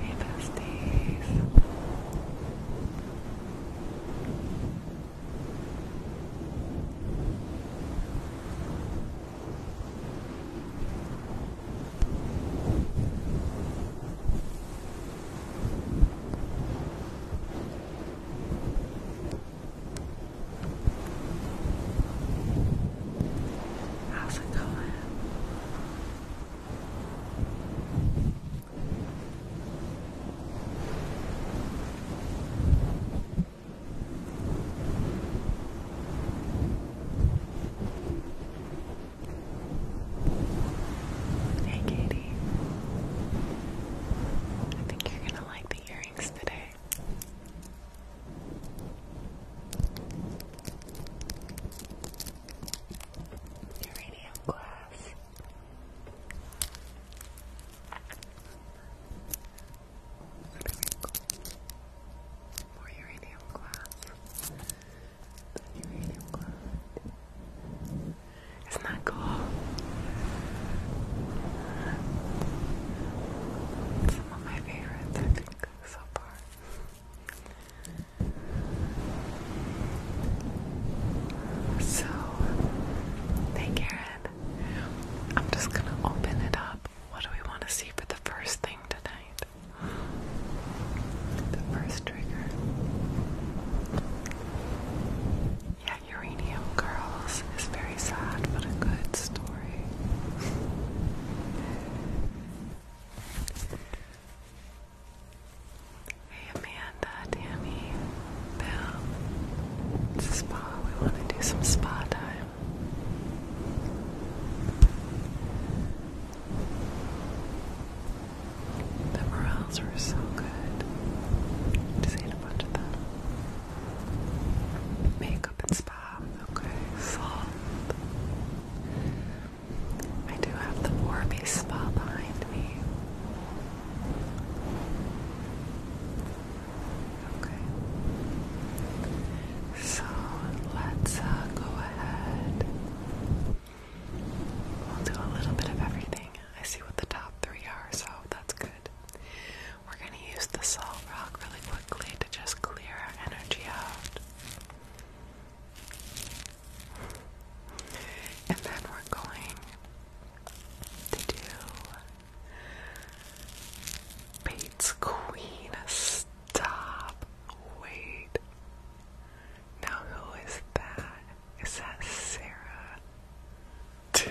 Hey besties. How's it going? Hey Katie. I think you're gonna like the earrings today. Uranium glass. More uranium glass. The uranium glass. Isn't that cool? Some of my favorites, I think, so far. So, hey Garrett, I'm just gonna open it up. What do we want to see for the first thing tonight? The first trigger. Yeah, Uranium Girls is very sad, but a good story. Hey Amanda, Tammy, Bill. It's a spa. We want to do some spa time. The morels were so good. Just ate a bunch of them. Makeup and spa. Okay, salt. I do have the Warby Spa behind me. Okay. So let's uh, go ahead. We'll do a little bit of everything. I see what the top three are, so that's good. We're going to use the salt rock really quickly to just clear our energy out. And then we're going to do Bates Queen. Stop. Wait. Now, who is that? Is that Sarah?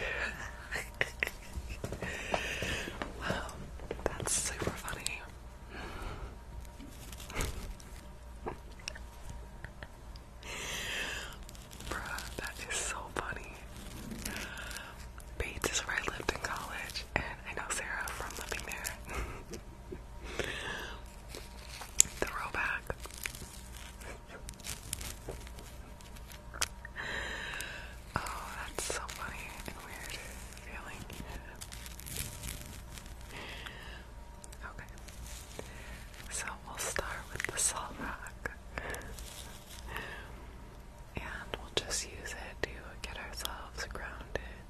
wow, that's super funny. Bruh, that is so funny. Bates is where I lived in college, and I know Sarah from living there. the throwback. Oh, that's so funny and weird. Okay. So we'll start with the salt rock. And we'll just use it to get ourselves grounded.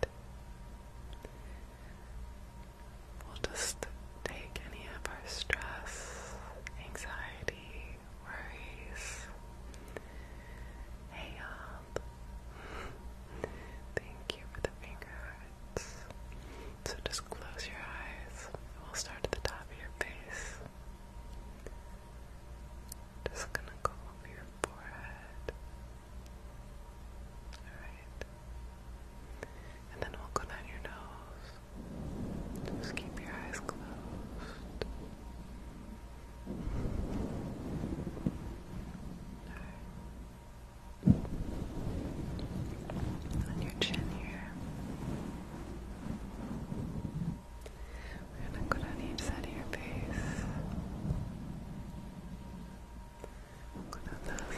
We'll just take any of our stress, anxiety, worries, Hey up. Thank you for the finger hearts. So just close your eyes. We'll start at the top of your face. Just gonna go over your forehead. Alright. And then we'll go down your nose. Just keep your eyes closed. On your chin here. We're gonna go down each side of your face. go down that side.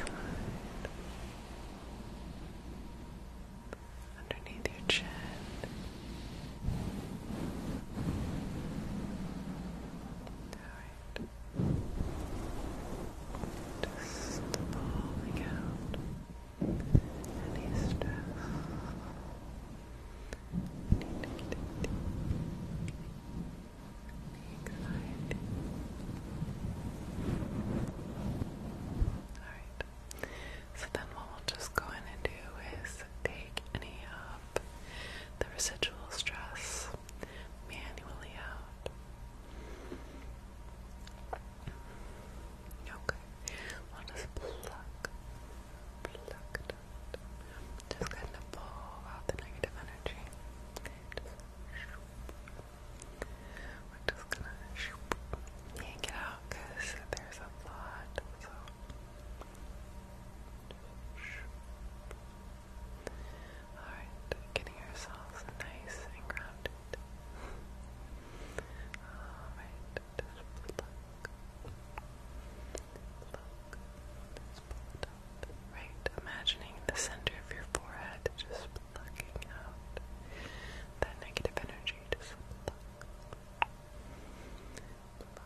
Underneath your chin. Down just falling out any stress. Anxiety. Alright. So then what we'll just go in and do is take any of uh, the residual stress manually out. Okay, I'll just pluck, pluck Just kind of pull out the negative energy. We're just gonna yank it out there's a lot, Alright, getting ourselves nice and grounded. Alright, Right, imagining the center of your forehead just plucking out that negative energy. Just pluck. Pluck. Pluck.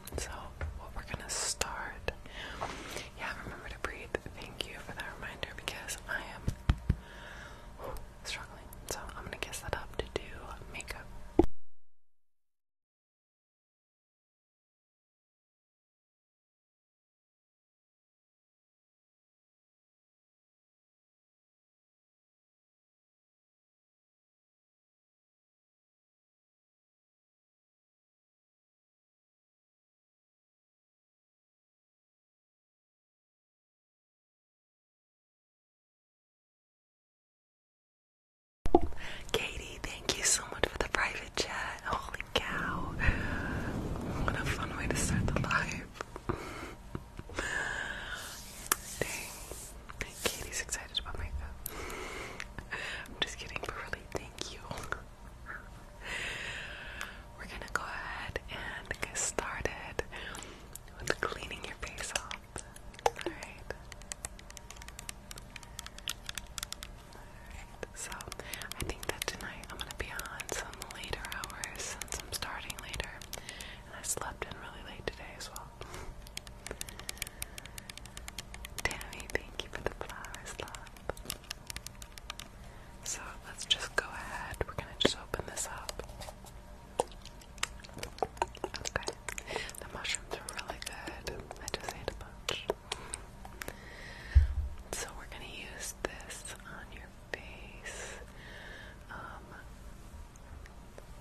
So, what we're gonna start. Yeah, remember to breathe. Thank you for that reminder because I am struggling. So, I'm gonna guess that up to do makeup. Katie, thank you so much for the private chat. Holy cow. What a fun way to start the live. Dang. Katie's excited about makeup. I'm just kidding, but thank you. We're gonna go ahead and get started with cleaning your face off. Alright. Alright, so I think that tonight I'm gonna be on some later hours since I'm starting later. And I slept in really late today as well. Tammy, thank you for the flowers, love. So let's just go ahead. We're gonna just open this up. Okay. The mushrooms are really good. I just ate a bunch. So we're gonna use this on your face. Um,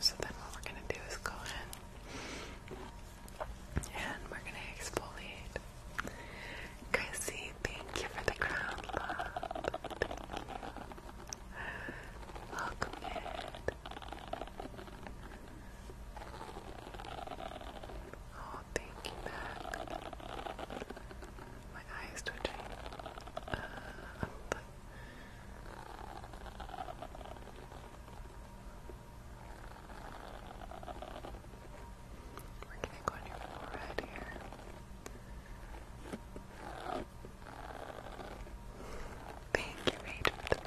So then what we're gonna do is go in and we're gonna exfoliate. Chrissy, thank you for the crown love. Welcome in. Oh, thank you, Mac. My eyes twitching. Uh, we on your forehead here. Thank you, Rachel, for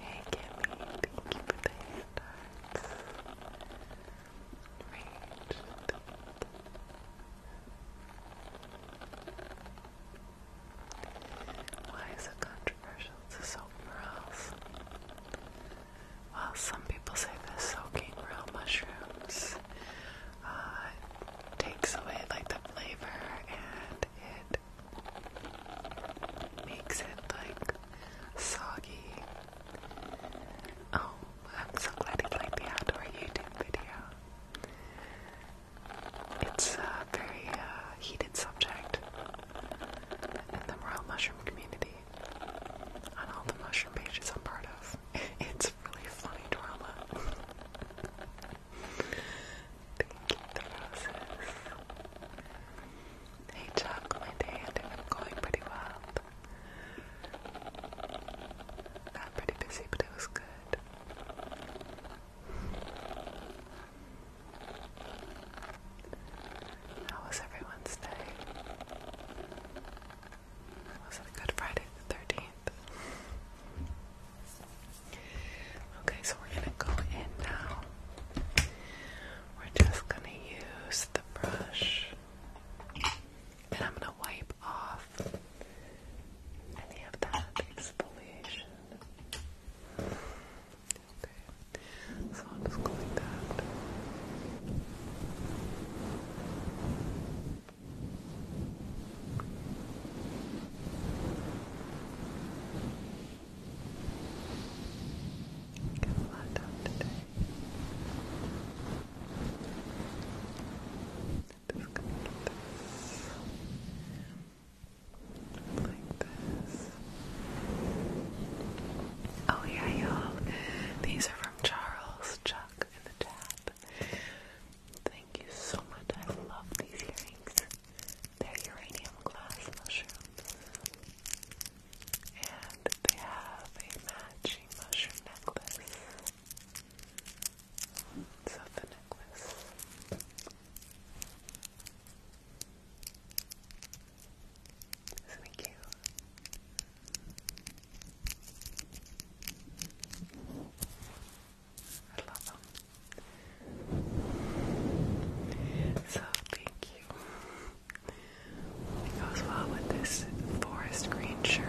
Hey Kimmy, thank you for the hand hearts. Why is it controversial to soak morels? Well, some people say that soaking real mushrooms uh, takes away like the flavor and it makes it like soggy. Oh, I'm so glad it's like the outdoor YouTube video. It's a very uh, heated subject in the royal mushroom community, on all the mushroom pages I'm part of. It's really funny drama. Thank you, roses. Hey, Chuck, my day and I'm going pretty well. Not pretty busy, but it was good. How was everyone's day? Was it Good Friday the 13th? Okay, so we're gonna go in now. We're just gonna use the brush and I'm gonna wipe off any of that exfoliation. Okay, so I'll go like that. Oh yeah, y'all. These are from Charles Chuck in the chat. Thank you so much. I love these earrings. They're uranium glass mushrooms. And they have a matching mushroom necklace. So the necklace. Isn't cute? I love them. So thank you. goes well with this forest green shirt.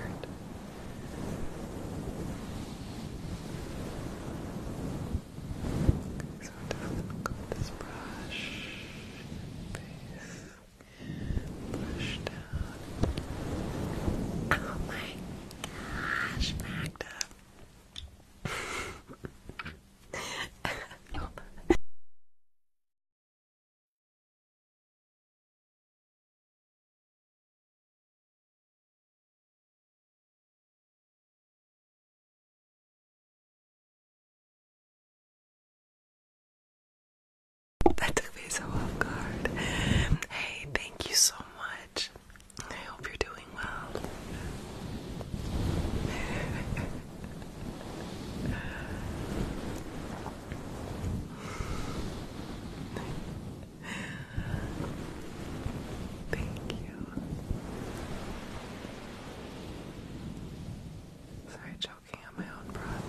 So I'm just gonna go with this brush, face, brush down. Oh my gosh, Magda. That took me Hey, thank you so much. I hope you're doing well. Thank you. Sorry, choking on my own breath.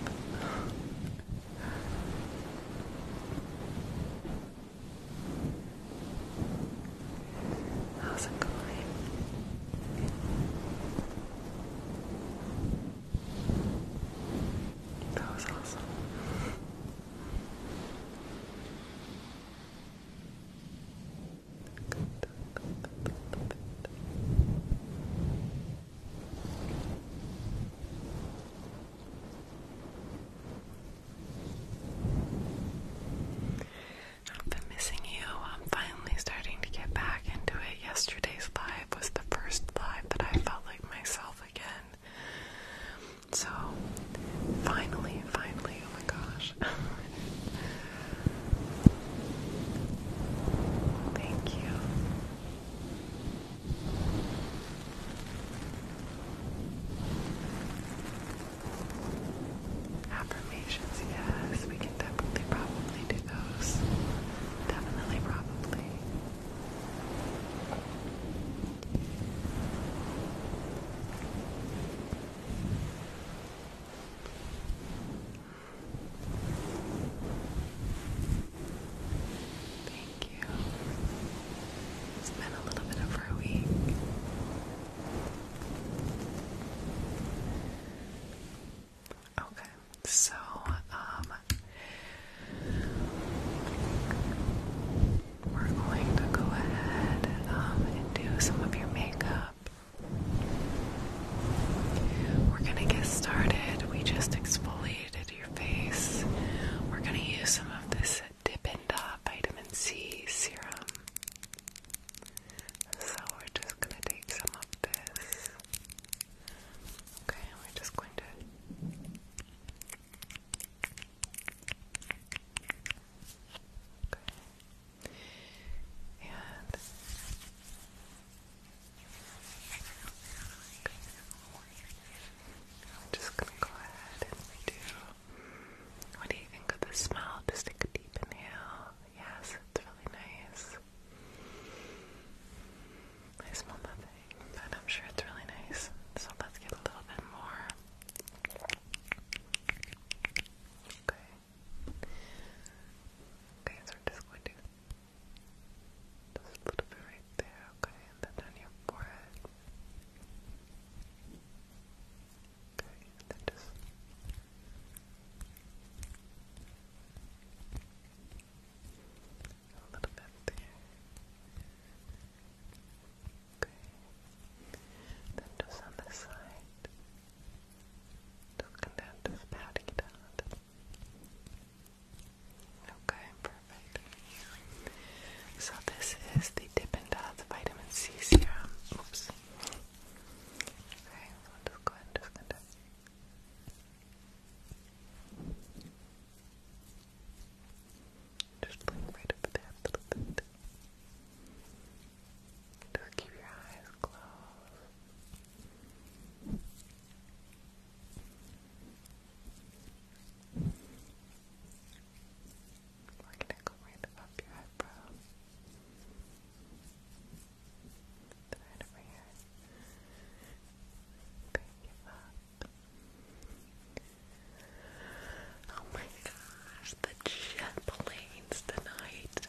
How's it going? That was awesome. I've been missing you. I'm finally starting to get back into it. Yesterday's live was the first live that I felt like myself again. So, finally, finally, oh my gosh. Thank you. Affirmations, yes, we can definitely probably do those. Definitely, probably. Thank you. It's been a little bit over a week. Okay, so, um, we're going to go ahead um, and do some of your makeup. We're gonna get started. We just exfoliated your face. We're gonna use some of this Dip and Dot Vitamin C Serum. So we're just gonna take some of this. Okay, we're just going to Okay. And I'm just gonna go ahead and do what do you think of the smell? Just take a deep inhale. Yes, it's really nice. I smell nothing, but I'm sure it's really nice. So let's get a little bit more. Okay. Okay, so we're just going to just a bit right there, okay, and then on your forehead. Okay, and then just a little bit there. Okay, then just on this side. Just come down, just patting it out. Okay, perfect. So this is the Dippin' Dots Vitamin C Serum. Oops. Okay, so just go ahead and just continue. Just blink right up there a little bit. Just keep your eyes closed. We're gonna go right above your eyebrow. Right over here. Pick it up. Oh my gosh, the jet planes tonight.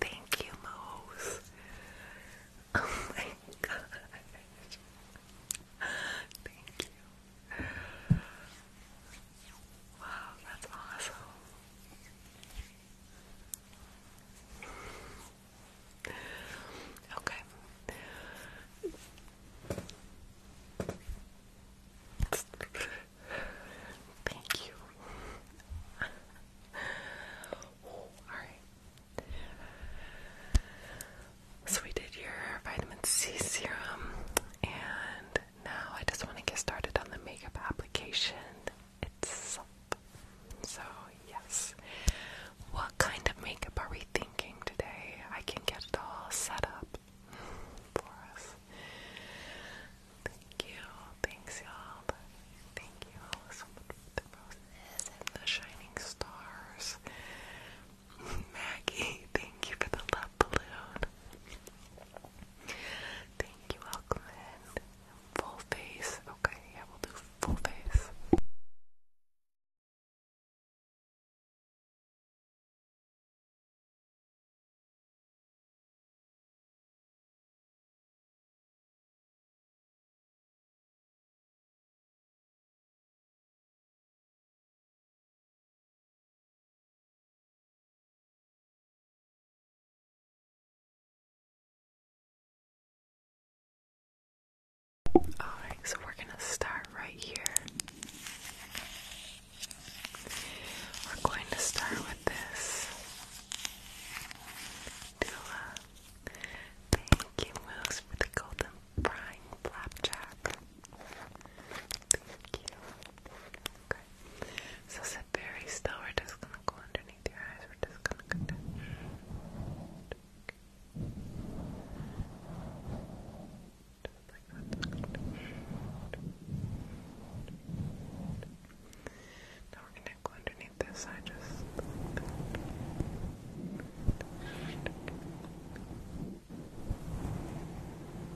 Thank you, Mose. Oh my gosh. Thank you. Wow, that's awesome. Okay. Thank you. Alright. So we did your vitamin C serum and now I just want to get started on the makeup application itself. So, yes. What kind of makeup are we thinking today? I can get it all set up for us. Thank you. Thanks, y'all. Thank you all so much for the roses and the shining stars. Maggie, thank you for the love balloon. Thank you, Auckland. Full face. Okay, yeah, we'll do full face. Alright, so we're going to start right here. We're going to start with this. Dula, thank you, Moose, for the golden frying flapjack. Thank you. Okay. So sit very still. We're just gonna go underneath your eyes. We're just gonna go down. Just Now we're gonna go underneath this eye just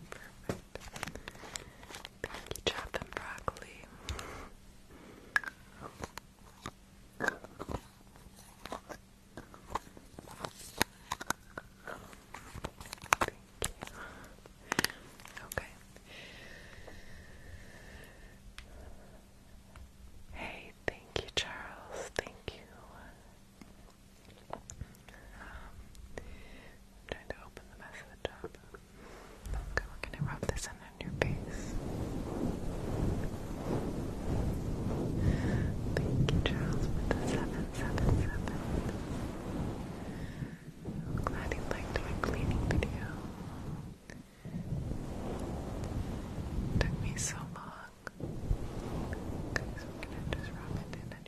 Perfect. Pinky chop and Thank you. Okay. Hey, thank you, Charles. Thank you trying to open the mess of the top. Okay, we're gonna rub this in on your face. Thank you, Charles, with the seven, glad you liked my cleaning video. took me so long. Okay, so I'm gonna just rub it in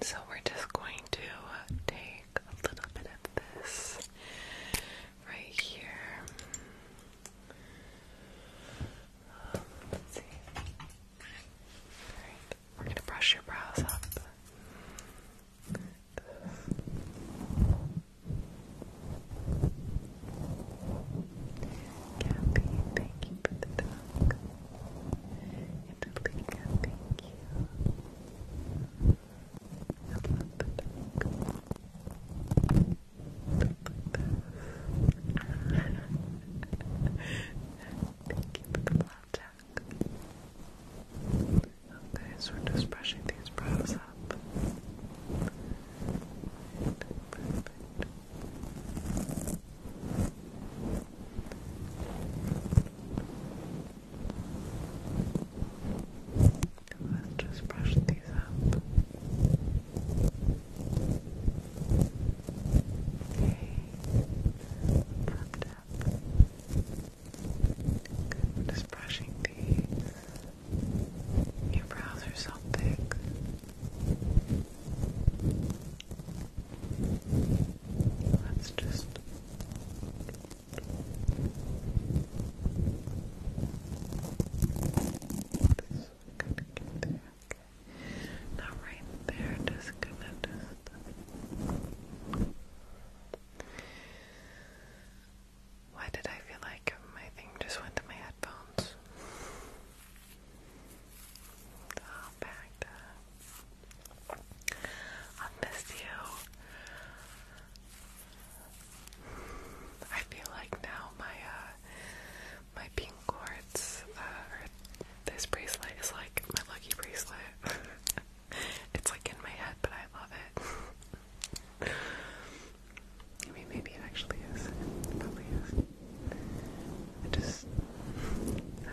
So we're just going to uh, take a little bit of this right here. we're gonna brush your brows up. Gabby, thank you for the dog. Angelica, thank you. I love the dog. Thank you for the love Okay, so we're just brushing these brows up. Let's just brush these up. Okay, Perfect up. just brushing these. Your brows are thick. Let's just this gonna get there, okay. Now right there, just gonna just why did I feel like my thing just went to my headphones? Oh, back up. I miss you. I feel like now my uh, my pink quartz uh, or this bracelet is like my lucky bracelet. it's like in my head, but I love it. I mean, maybe it actually is. probably is. just I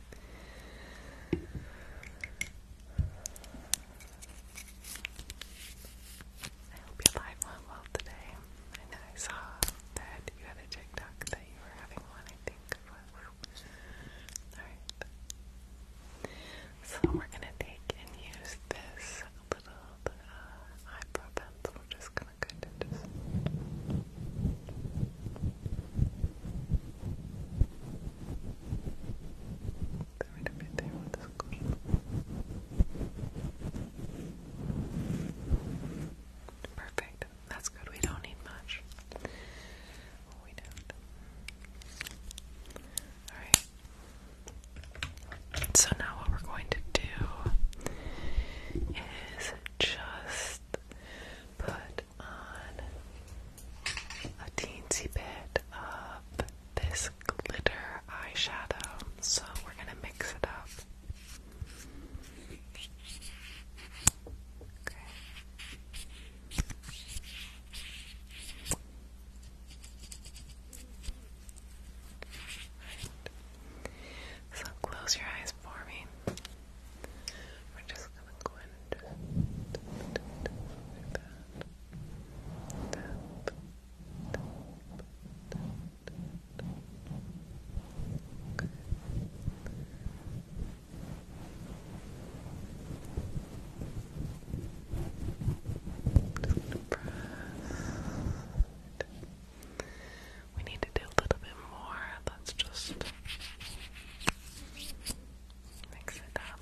I hope your life went well today. I know I saw that you had a TikTok that you were having one, I think. Alright. So we're gonna take and use this little uh, eyebrow pencil. We're just gonna kind of just Deverim meter outras coisas. Perfect. That's good. We don't need much. We don't. Alright. So now what we're going to do is just put on a teensy bit of this glitter eyeshadow, so we're going to mix it up. Okay. So close your eyes for me. We're just gonna go in and just We need to do a little bit more. Let's just Mix it up.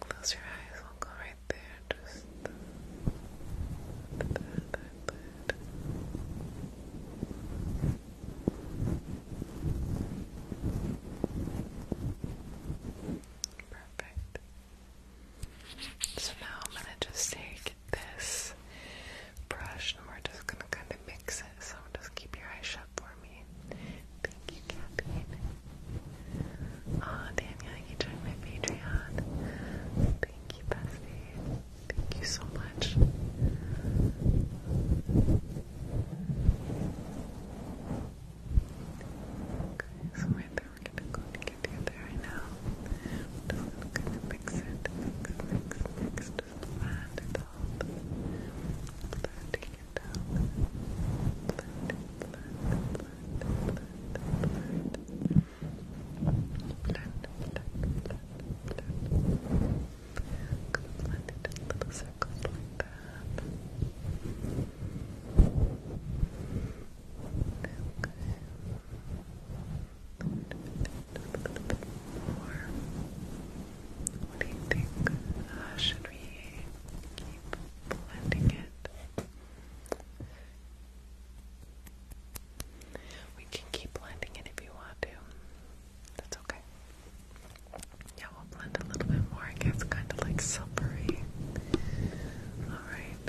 Close your eyes, we'll go right there. Just Perfect. So now I'm gonna just take this brush and we're just gonna kind of mix it. So just keep your eyes shut for me. Thank you, Kathleen. Aw, Danielle, you joined my Patreon. Thank you, bestie. Thank you so much. Okay, so right there we're gonna go get you there right now. Just gonna mix it, mix, mix, mix, just blend it all. Blending it out. Blend, blend, blend, blend, blend. Blend, blend, blend, blend. Gonna blend it little circles like that. Okay. Or what do you think? should we keep blending it? We can keep blending it if you want to. That's okay. Yeah, we'll blend a little bit more. It gets kind of like silvery. Alright.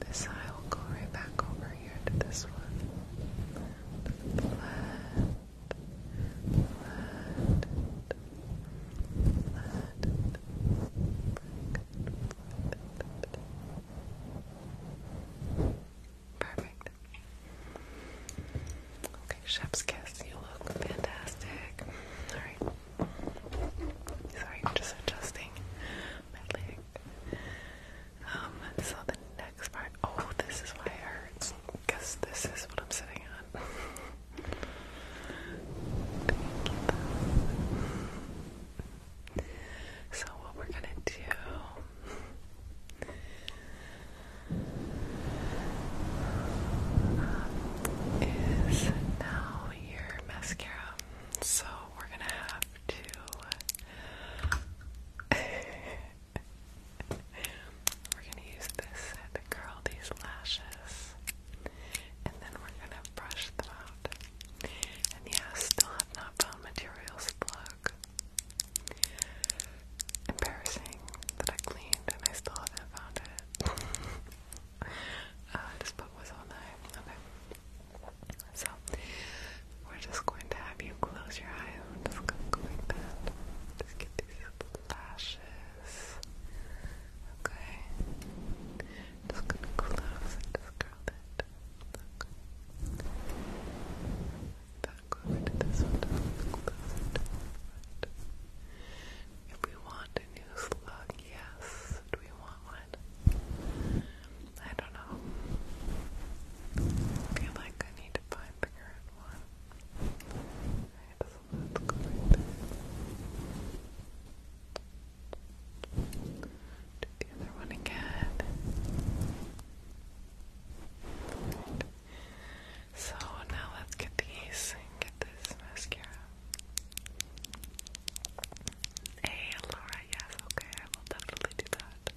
This eye will go right back over here to this one. Perfect. Okay, chef's kiss. You look fantastic. All right. Sorry, I'm just adjusting my um, so the next part. Oh, this is why it hurts. Because this is what I'm sitting on. so, what we're gonna do um, is now your mascara. So, we're gonna have to. we're gonna use this to curl these lashes, and then we're gonna brush them out. And yeah, still have not found materials plug. Embarrassing that I cleaned and I still haven't found it. Uh, just put was all night. Okay. So we're just going to have you close your eyes. just go like that. Just get these lashes. Okay. Just gonna close just curl it. Okay. Back over this one. If we want a new slug, yes. Do we want one? I don't know. feel like I need to find figure one. Alright, let's go Do the other one again. So now let's get these and get this mascara. Hey, Laura, yes, okay, I will definitely do that.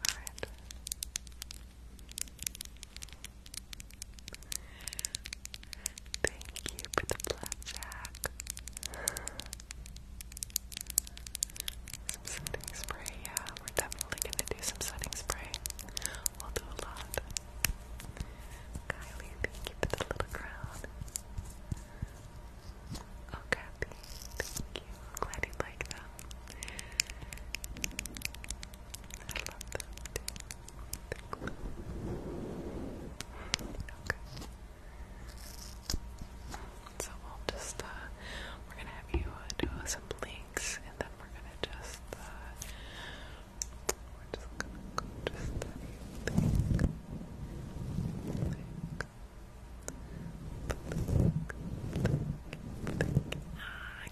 Alright. Thank you for the blackjack. Some setting spray, yeah, we're definitely gonna do some setting spray. We'll do a lot. Kylie, thank you for the little crown. Oh, thank you. glad you like them. I love them Okay. So we'll just, uh, we're gonna have you uh, do some links and then we're gonna just, uh, we you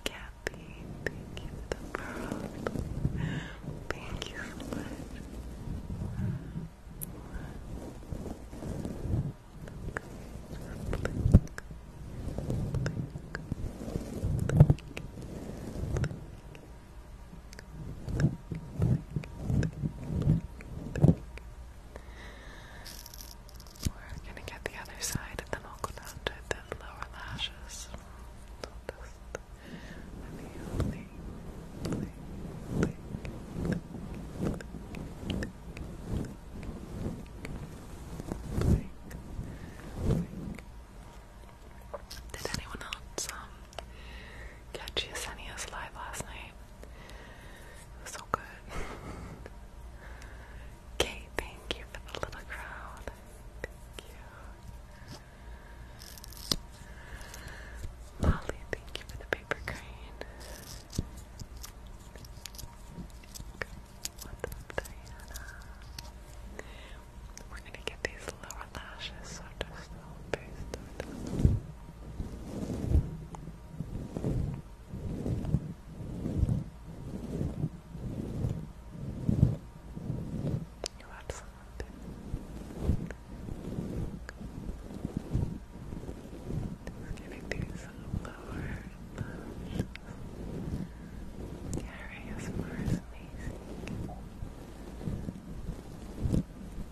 Kathy, thank you for the pearls. Thank you so much. We're gonna get the other side and then I'll go down to the lower lashes. Did anyone else um, catch Yesenia's live last night? It was so good. Kate, thank you for the little crowd. Thank you. Molly, thank you for the paper crane. What's up, Diana? We're gonna get these lower lashes, so just first you had to just giving these some lower lashes yeah, right, as far amazing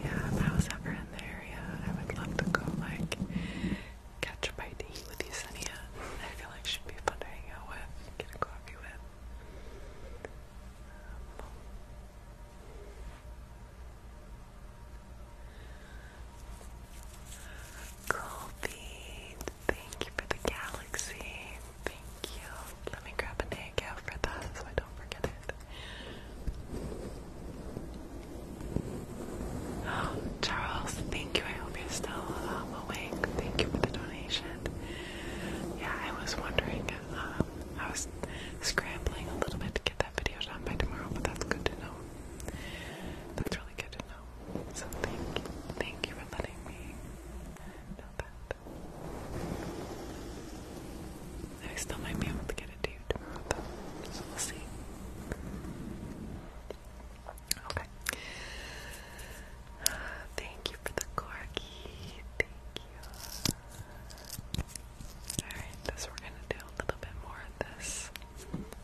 Yeah, if I was ever in the area, I would love to go like catch a bite to eat with you, I feel like she'd be fun to hang out with, get a coffee with. Cold feet. Thank you for the galaxy. Thank you. Let me grab an egg out for that so I don't forget it. Oh, Charles, thank you. I hope you're still um, awake. Thank you for the donation. Yeah, I was wondering. Um, I was scrambling a little bit to get that video done by tomorrow, but that's good to know. That's really good to know. So thank you. Thank you for letting me know that. I still might be able to get it to So we'll see. Okay. Thank you for the corgi. Thank you. Alright, this we're gonna do a little bit more of this.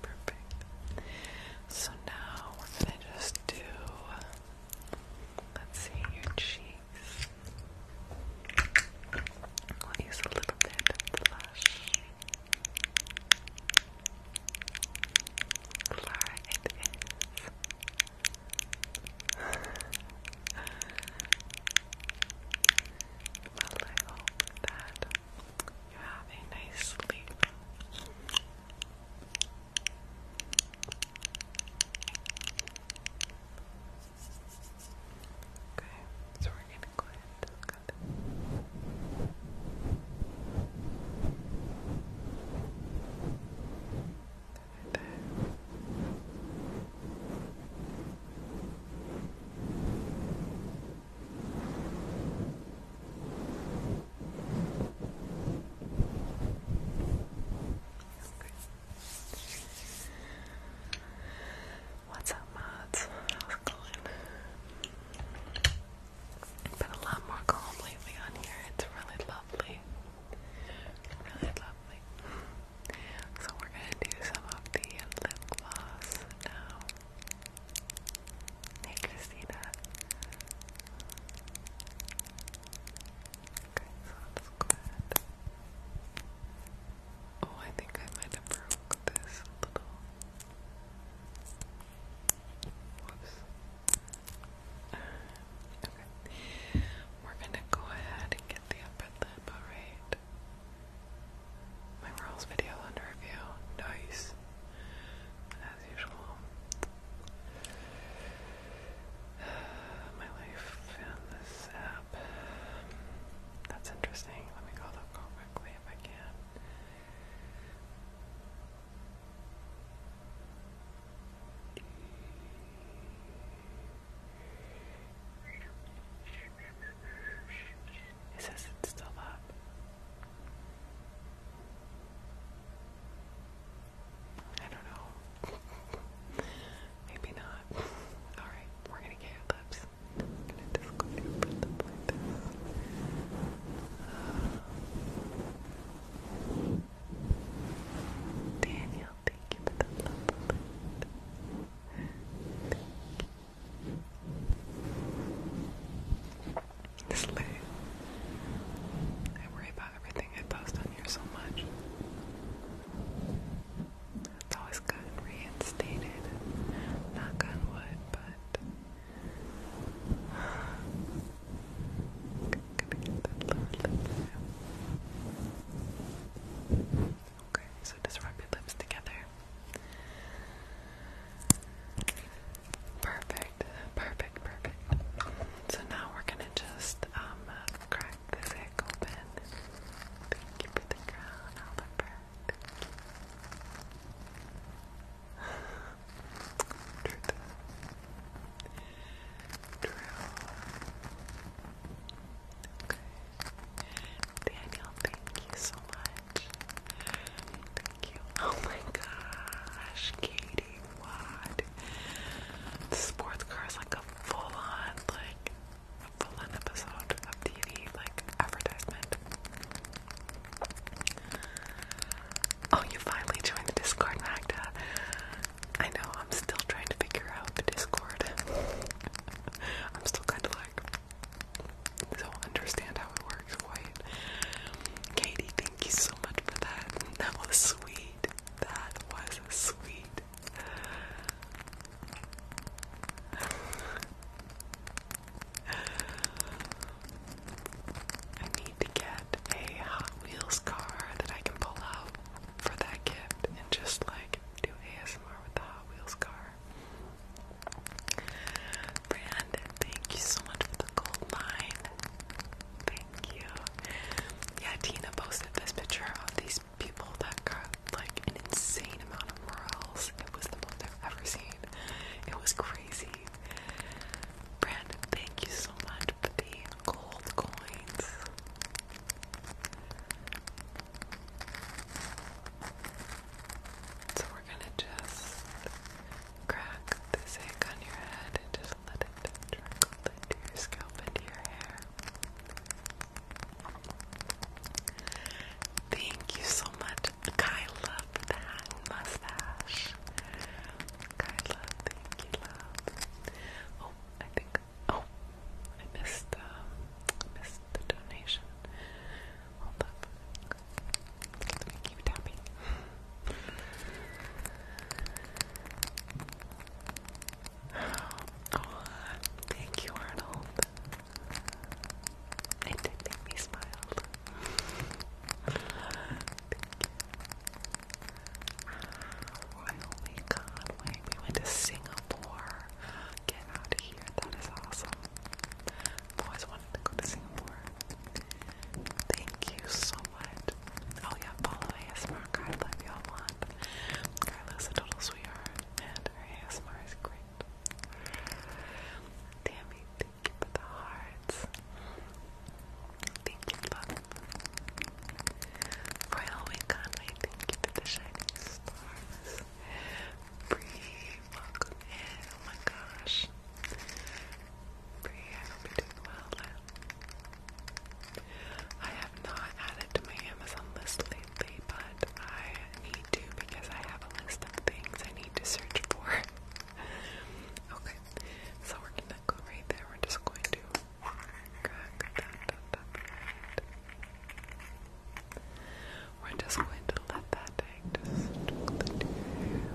Perfect. So now we're gonna just do let's see your cheeks. We'll use a little bit of blush. Clara it is. well, I hope that you have a nice sleep. Okay, so we're going to go ahead and just cut it. Okay. What's up, mods? How's it going? Been a lot more calm lately on here. It's really lovely. Really lovely. So we're gonna do some of the lip gloss now. Hey, Christina. Okay, so good. Oh, I think I might have broke this little. Whoops. Okay. We're gonna go ahead and get the upper lip, alright? My rolls video under review. Nice as usual. my life found this app. That's interesting. Let me go look quickly if I can. It says it's still up. I don't know. Maybe not. Alright, we're gonna get our lips. Daniel, thank you for the love it's I worry about everything I post on here so much. It's always gotten reinstated. Knock on wood, but Okay, so just rub your lips together. Perfect, perfect, perfect. So now we're gonna just um, crack this egg open. Thank you for the crown, Oliver. Thank you. Truth. True. Okay. Daniel, thank you so much. Oh my gosh, Katie, what? The sports car is like a full-on, like a full-on episode of TV, like advertisement. Oh, you finally joined the Discord, Magda. I know, I'm still trying to figure out the Discord. I'm still kind of like, don't understand how it works, quite. Katie, Thank you so much for that. That was sweet. That was sweet. I need to get a Hot Wheels car that I can pull out for that gift and just like do ASMR with the Hot Wheels car. Brandon, thank you so much for the gold line. Thank you. Yeah, Tina posted this picture of these people that got like an insane amount of morels. It was the most I've ever seen. It was crazy. Brandon, thank you so much for the gold coins. So we're gonna just crack this egg on your head and just let it trickle into your scalp and your hair. Thank you so much, Kyla, for the mustache. Kyla, thank you, love. Oh, I think, oh, I missed, um, missed the donation. Hold up. Let me keep Oh, thank you, Arnold. It did make me smile. thank you. Royal oh Way We went to Singapore. Get out of here. That is awesome. always wanted to go to Singapore. Thank you so what? Oh yeah, follow ASMR Carla if y'all want. Carla's a total sweetheart and her is great. Tammy, thank you for the hearts. Thank you, love. Royal Wink Conway, thank you for the shining stars. Bree, welcome in. Oh my gosh. Bree, I hope you're doing well. I have not added to my Amazon list lately, but I need to because I have a list of things I need to search for. okay, so we're gonna go right there. We're just going to crack that We're just going to let that take. just. Let it go.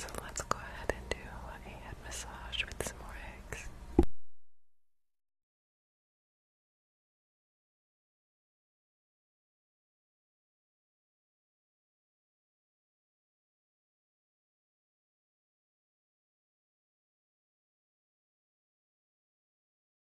So let's go ahead and do a head massage with some more eggs.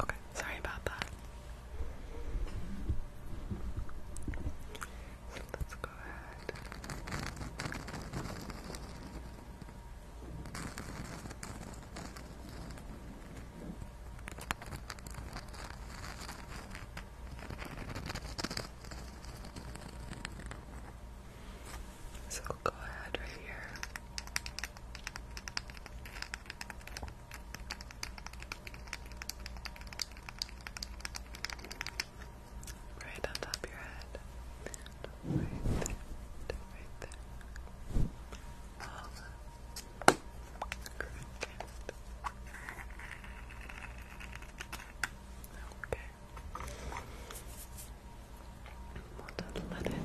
Okay, sorry about that. So let's so go ahead right here. Right on top of your head. Right there. Okay. We'll just let it trickle down your hair. Trickling down the top of your head.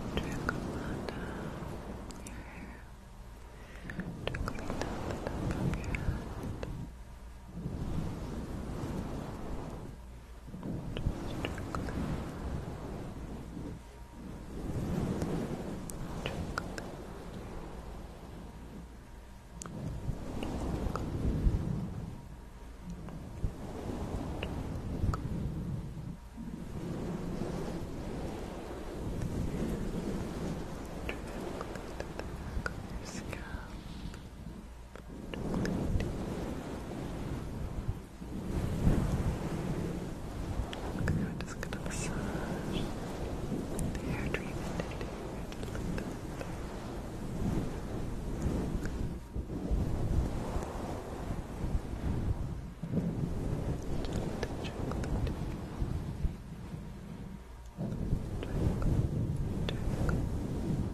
Scalp. Okay, we're just gonna massage the hair treatment into here just a little bit. Just check the Check, check,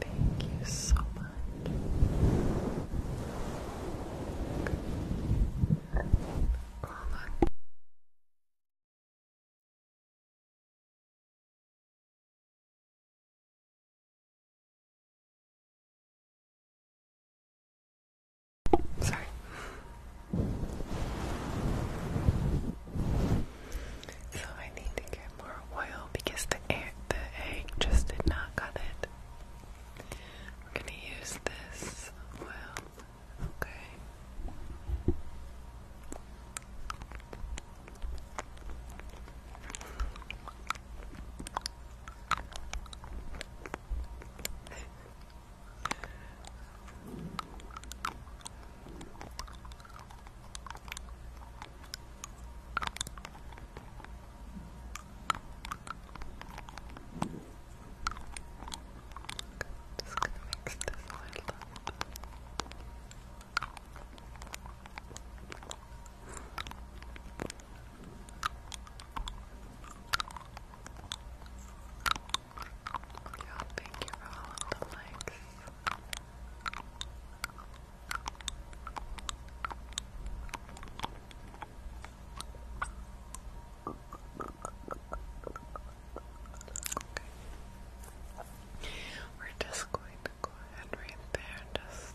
Thank you so much. Hold on. Sorry. So I need to more oil because the egg, the egg just did not cut it. We're gonna use this oil, okay? Just gonna mix this a little Yeah, thank you for all of the likes. Okay. We're just going to go ahead right there and just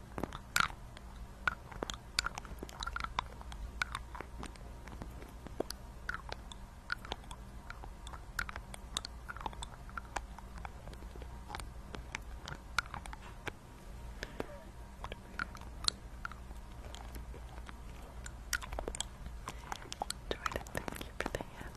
Jordan, thank you for the hand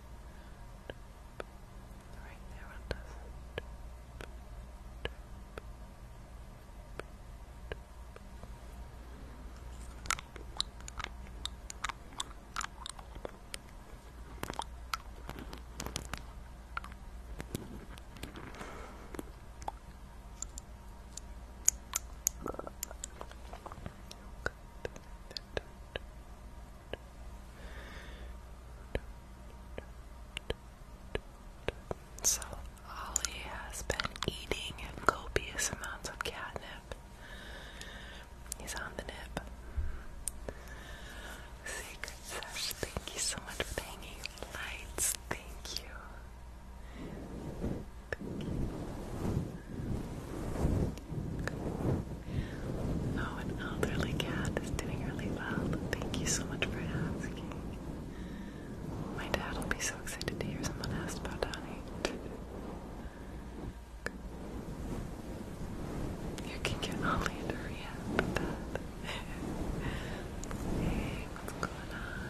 right there on top. Good. So, Ollie has been eating copious amounts of catnip. He's on the nip. thank you so much for hanging lights. Thank you. Oh, an elderly cat is doing really well. Thank you so much for asking. My dad will be so excited to hear someone asked about Donnie. You can get Ollie into rehab hey, what's going on?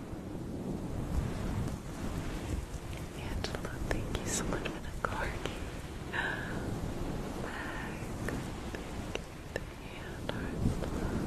Angela, thank you so much for the corgi. Back. Thank you for love.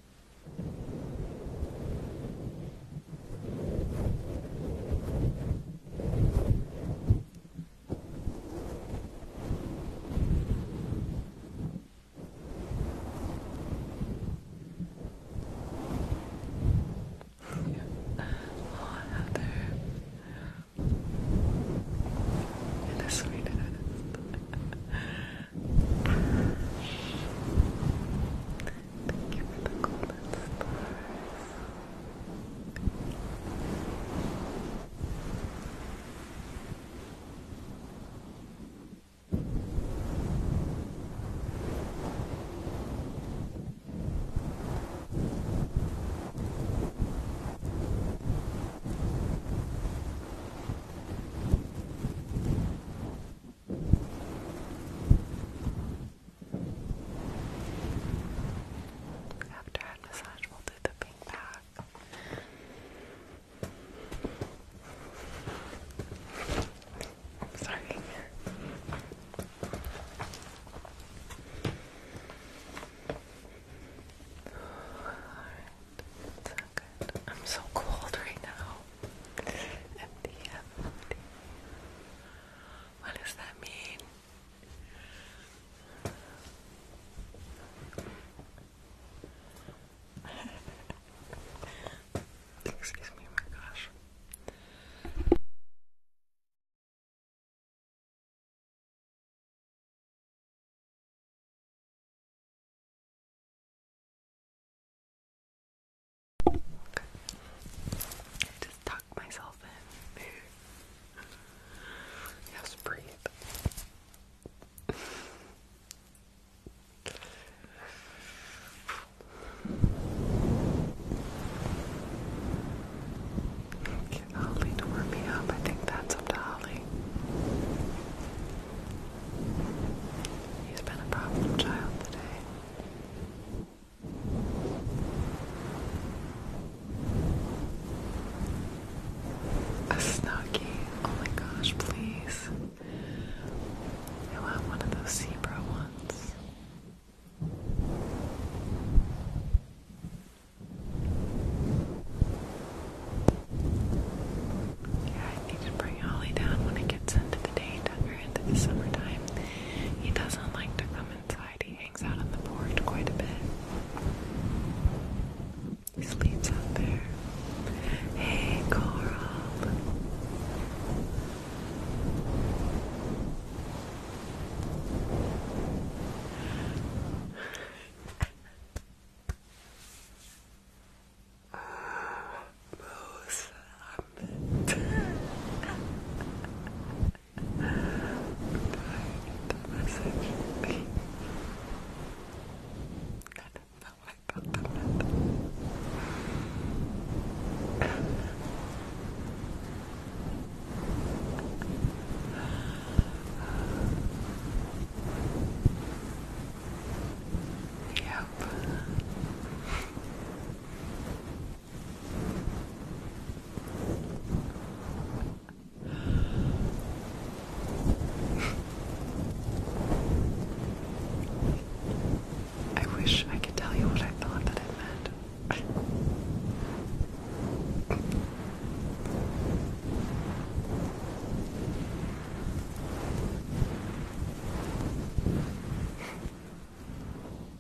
Yeah. Oh, Heather. You're the sweetest. Thank you for the golden after head massage, we'll do the pink back. sorry. Alright, so good. I'm so cold right now. At the end. What does that mean? Excuse me, my gosh. I just tuck myself in. yes, breathe. Get Holly warm me up. I think that's up to Holly. He's been a problem child today. A snuggie. Oh my gosh, please. I want one of those zebra ones. Yeah, I need to bring Holly down when it gets into the day, into the summertime. He doesn't like to come inside. He hangs out on the porch quite a bit. He sleeps out there. Hey, Coral. Moose Summit. the message. I didn't know what I thought that yep. I wish I could tell you what I thought that it meant.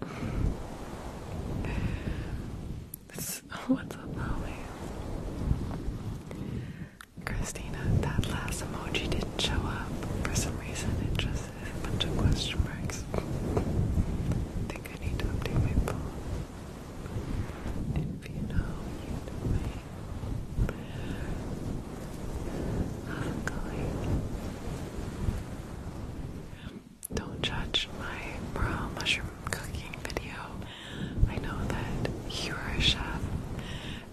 What's up, Molly? Christina, that last emoji didn't show up. For some reason, it just is a bunch of question marks. I think I need to update my phone. If you know, me. How's it going? don't judge my raw mushroom cooking video. I know that you are a chef,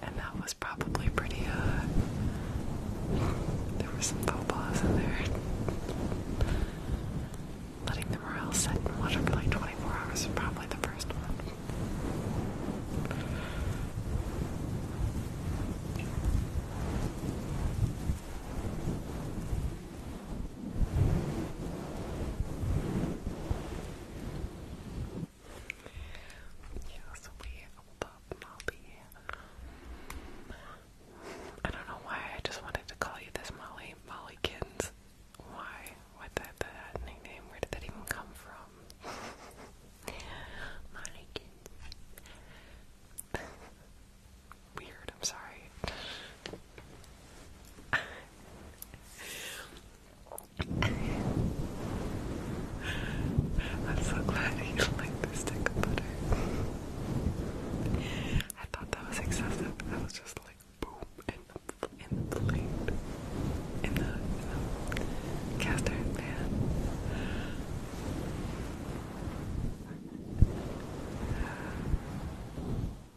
and that was probably pretty, uh, there were some faux pas in there. Letting the morale set in water for like 24 hours is probably the first one. Yes, we will pop Molly. I don't know why I just wanted to call you this Molly. Mollykins. Why? What the, that nickname? Where did that even come from? Mollykins. weird. I'm sorry. I'm so glad you like the stick butter. I thought that was excessive. That was just like boom in the in the plate. In the, in the cast iron pan.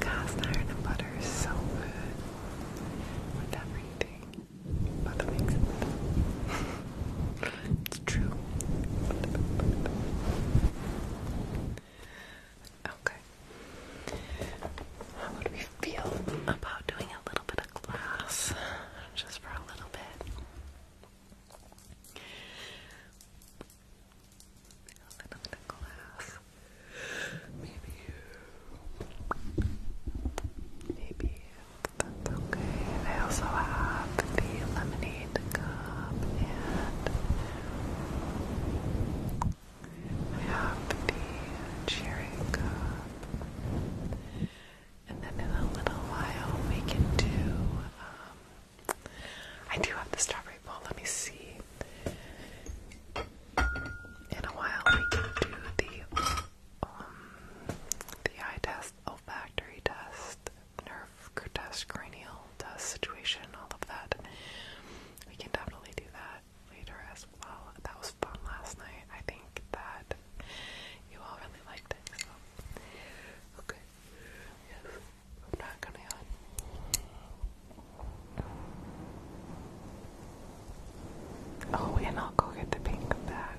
cast iron and butter is so good with everything. Butter makes it it's true. Okay. How would we feel about doing a little bit of glass? Just for a little bit. A little bit of glass. Maybe. Maybe that's okay. I also have the lemonade cup and I have the cherry cup. And then in a little while we can do I do have the strawberry bowl. Let me see. In a while, we can do the um the eye test, olfactory test, nerve test, cranial test situation, all of that. We can definitely do that later as well. That was fun last night. I think that you all really liked it. Okay. Yes. I'm not gonna yawn. Oh, and I'll go get the pink bag.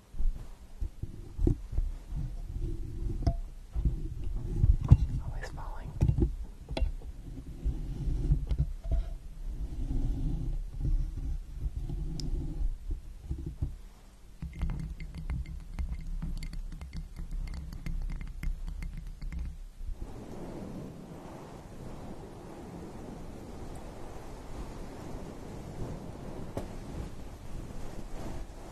Always falling. All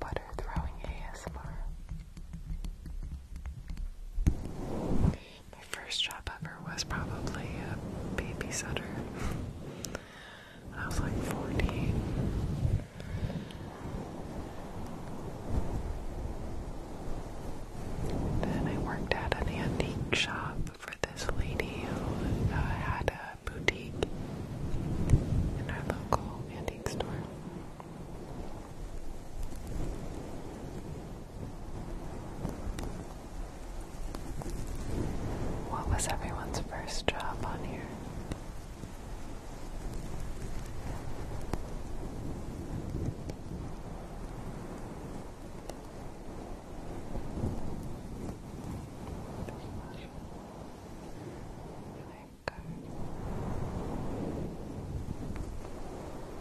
Butter throwing ASMR. My first job ever was probably a babysitter. I was like 14. Then I worked at an antique shop for this lady who uh, had a boutique in our local antique store. What was everyone's first job on here?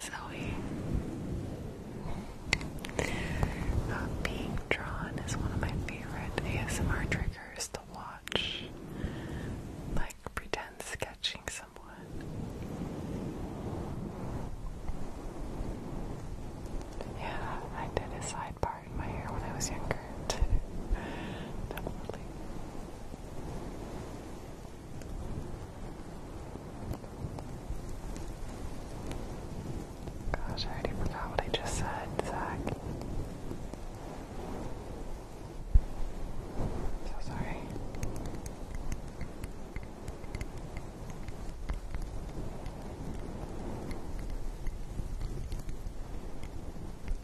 Zoe. Uh, being drawn is one of my favorite ASMR triggers to watch. Like pretend sketching someone. Yeah, I did a side part in my hair when I was younger. Definitely. Gosh, I already forgot what I just said, Zach. So sorry.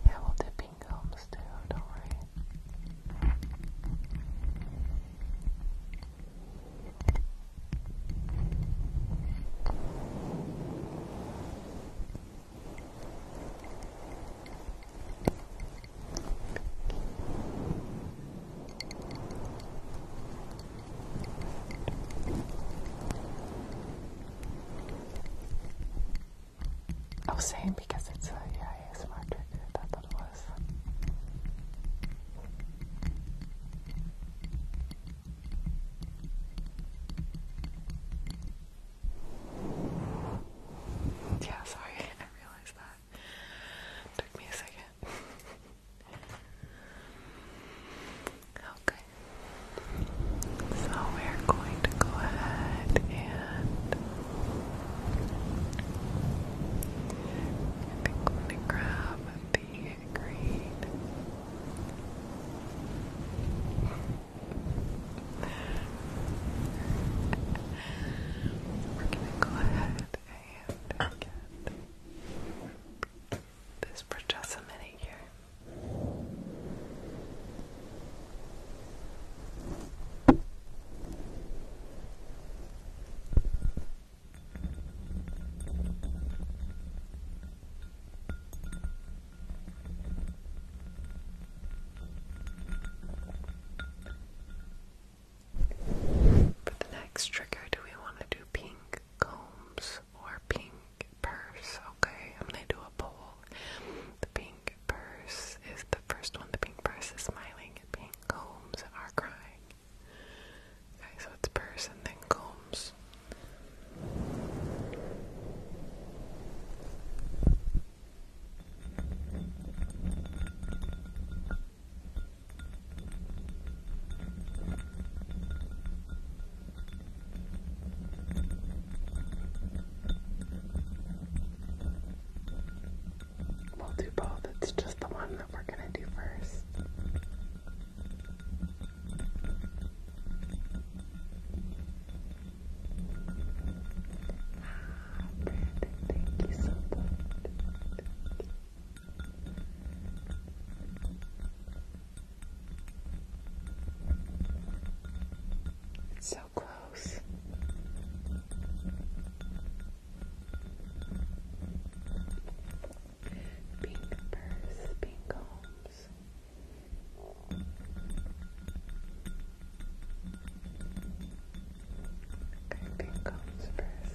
Yeah, we'll dip pink comes too, don't worry. I was saying because it's a yeah, smart trigger. That's what it was. Yeah, sorry, I realized that. Took me a second. okay. So we're going to go ahead and I think am gonna grab the green. We're gonna go ahead and get this for just here. For the next trigger, do we want to do pink combs or pink purse? Okay, I'm gonna do a poll. The pink purse is the the first one, the pink purse is smiling and pink combs are crying. Okay, so it's purse and then combs. We'll do both. It's just the one that we're going to do first. Ah, Brandon, thank you so much. so close. Pink purse, pink homes. Okay, pink homes first.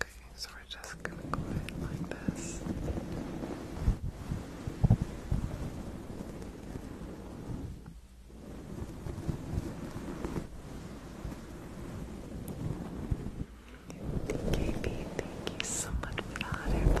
Okay, so we're just gonna go ahead like this. KB, thank you so much for the hot air balloon.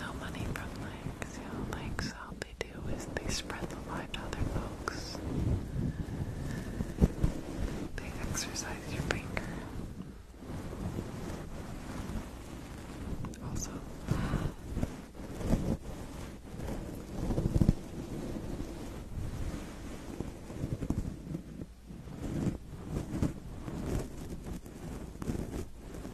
No money from likes, yeah. Likes, all they do is they spread the light to other folks. They exercise your finger. Also,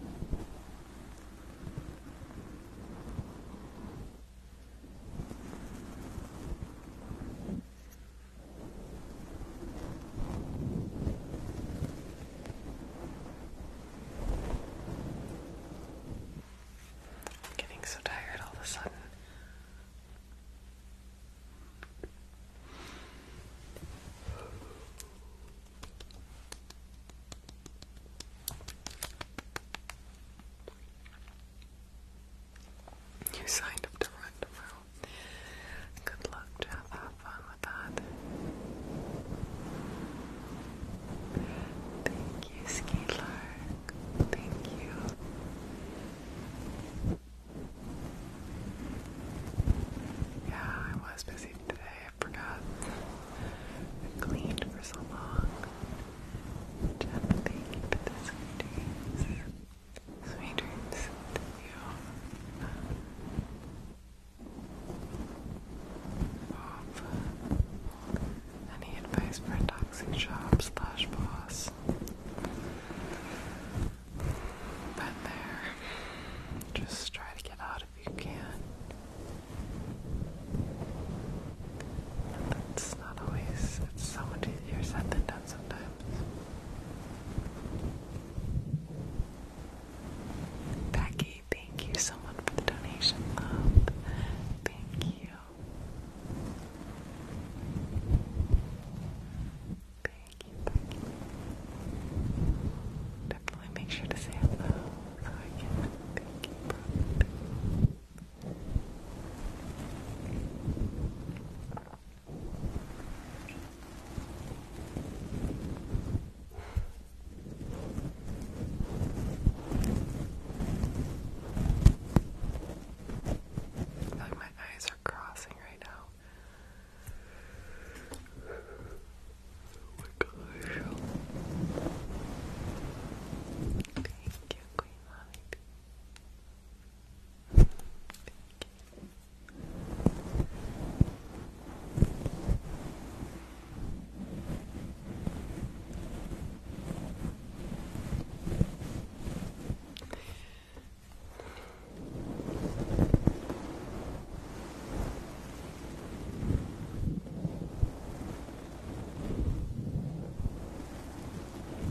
I'm getting so tired all of a sudden. You signed up to run tomorrow. Good luck, Jeff. Have fun with that. Thank you, Ski Thank you. Yeah, I was busy today forgot. I cleaned for so long. Jeff, thank you for the sweet dreams. Sweet dreams you. any advice for a toxic job slash boss? Been there. Just try to get out if you can. that's not always, it's so much easier said than done sometimes. Becky, thank you so much for the donation, love. Thank you. Thank you, Becky. I make sure to say hello so I can thank you I feel like my eyes are crossing right now. Oh my gosh. Thank you, Queen Holly.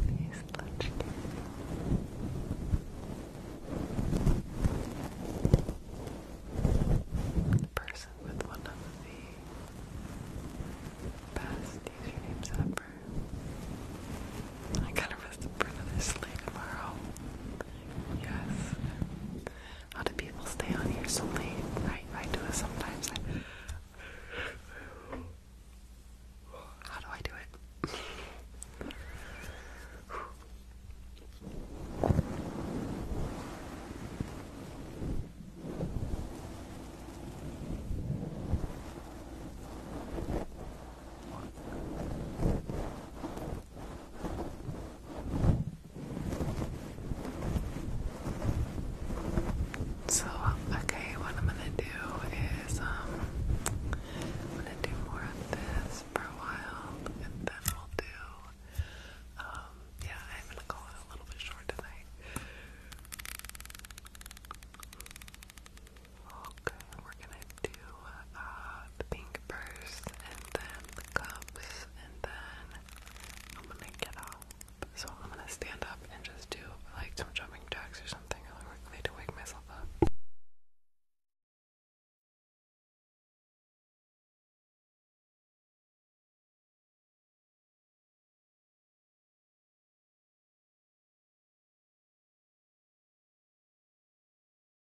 These lunch the person with one of the best usernames ever. I gotta rest up for another sleep tomorrow. Yes. How do people stay on here so late? I, I do it sometimes. how do I do it? So, okay, what I'm gonna do is, um, I'm gonna do more of this for a while, and then we'll do, um, yeah, I'm gonna call it a little bit short tonight. Okay, we're gonna do, uh, the pink purse, and then the cups, and then I'm gonna get up. So I'm gonna stand up and just do like some jumping jacks or something. I need to wake myself up.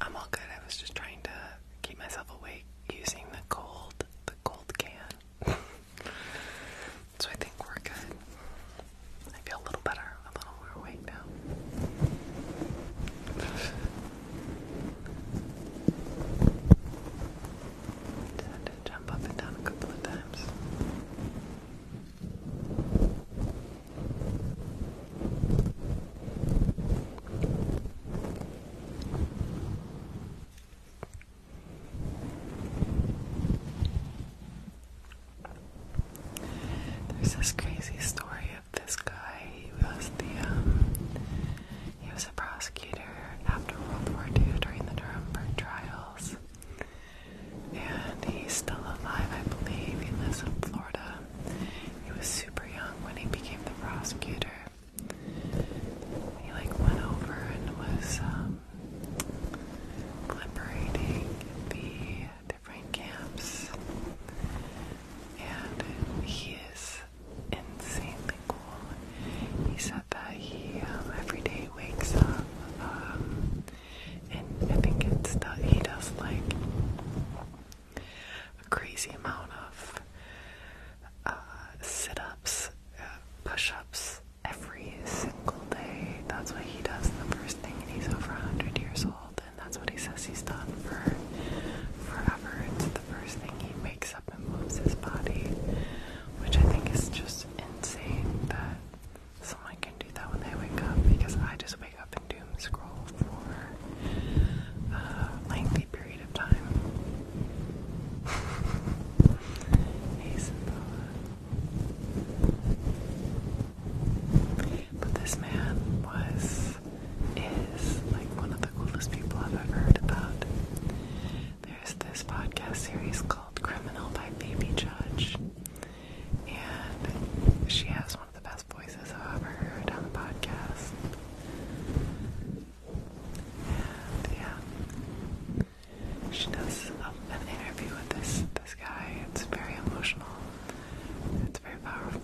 I'm all good. I was just trying to keep myself awake using the cold, the cold can. so I think we're good. I feel a little better, a little more awake now. had to jump up and down a couple of times. There's this crazy story of this guy. He was the um, he was a prosecutor after World War II during the Nuremberg trials, and he's still alive, I believe. He lives in Florida. He was super young when he became the prosecutor. He like went over and was um, liberating the different camps, and he is insanely cool. He said that he um, every day wakes up, um, and I think it's that he does like a crazy amount of uh, sit-ups, uh, push-ups every single day. That's what he does the first thing, and he's over 100 years old and that's what he says he's done for forever. It's the first thing he wakes up and moves his body, which I think is just insane that someone can do that when they wake up because I just wake up and doom scroll for a lengthy period of time. But this man was, is like one of the coolest people I've ever heard about. There's this podcast series called Criminal by Baby Judge, and she has one of the best voices I've ever heard on the podcast. And yeah, she does um, an interview with this this guy. It's very emotional. It's very powerful.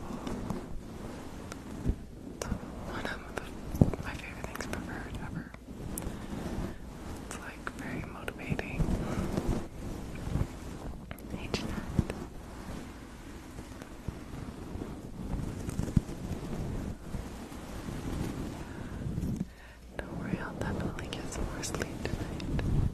one of my favorite things ever. It's like very motivating. Don't worry, I'll definitely get some more sleep tonight.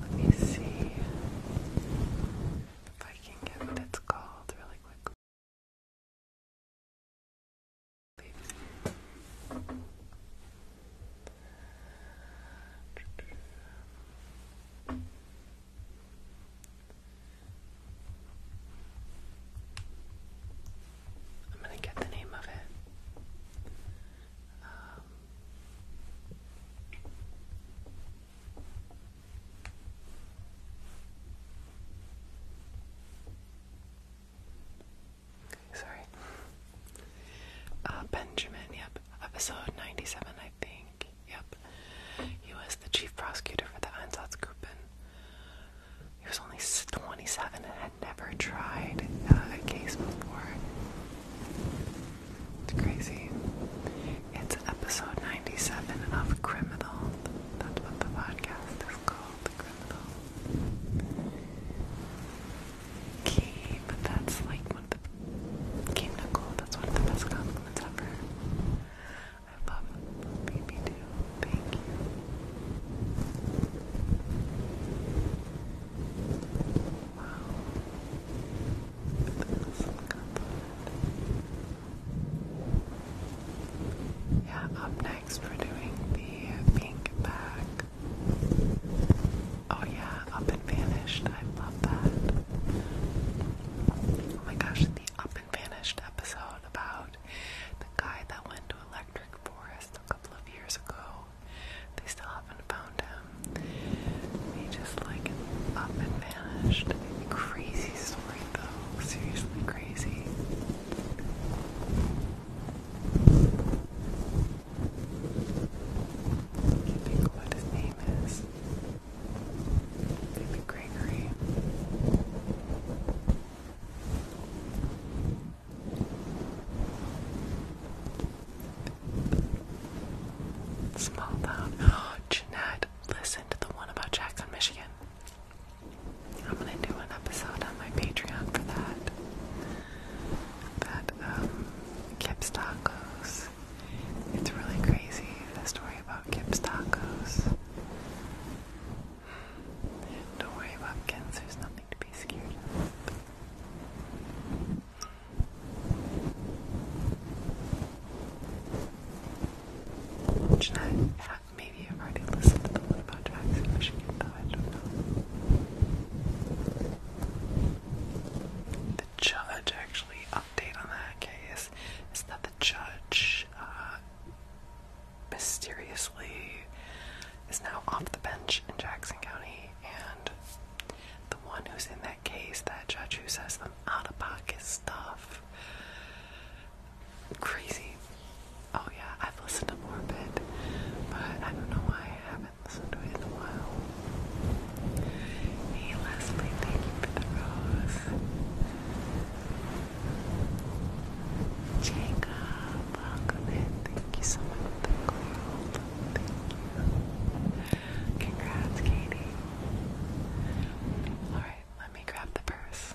Let me see if I can get what it's called really quickly. I'm gonna get the name of it. Um, Sorry. Uh, Benjamin, yep. Episode 97, I think. Yep. He was the chief prosecutor for the Einsatzgruppen, he was only 27 and had never tried uh, a case before. It's crazy. It's episode 97 of Criminal. That's what the podcast is called, Criminal. Key, but that's like one of the Game that's one of the best compliments ever. I love baby too. Thank you. Wow. Yeah, up next we're doing the pink bag. Oh yeah, up and vanished. I love that. Oh my gosh, the up and vanished episode about the guy that went to Electric Forest a couple of years ago. They still haven't found him. He just like up and vanished. Crazy story though. Seriously crazy. can't think what his name is. Maybe Gregory. Small town. Oh, Jeanette, listen to the one about Jackson, Michigan. I'm gonna do an episode on my Patreon for that. That um, Kip's Tacos. It's really crazy the story about Kip's Tacos. Don't worry, about Watkins, there's nothing to be scared of. Jeanette, maybe already listened to the one about tracks I do The judge, actually, update on that case is that the judge uh, mysteriously is now off the bench in Jackson County, and the one who's in that case, that judge who says them out of pocket stuff. Crazy. Oh, yeah, I've listened to more but I don't know why I haven't listened to it in a while. Hey, Leslie, thank you for the rose. Jacob, welcome Thank you so much the gold. Congrats, Katie. Alright, let me grab the purse.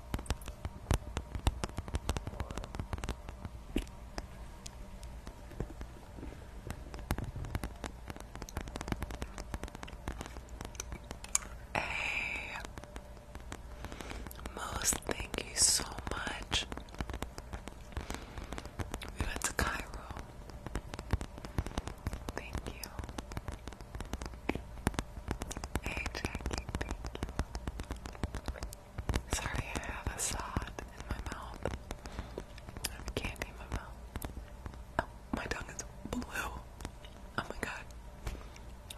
Hey, most thank you so much. We went to Cairo. Thank you. Hey Jackie, thank you. Sorry, I have a sod in my mouth. I have candy in my mouth. Oh, my tongue is blue. Oh my god.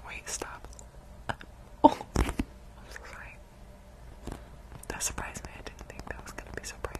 Wait, stop. oh, I'm so sorry. That surprised me. I didn't think that was gonna be so bright.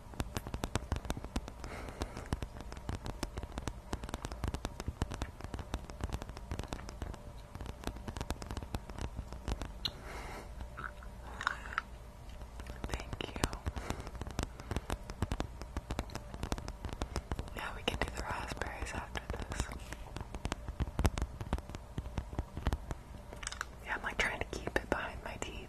Thank you. Yeah, we can do the raspberries after this. Yeah, I'm like trying to keep it behind my teeth.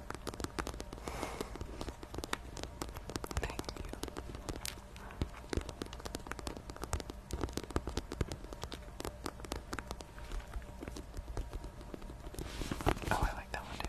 Thank you. Oh, I like that one too.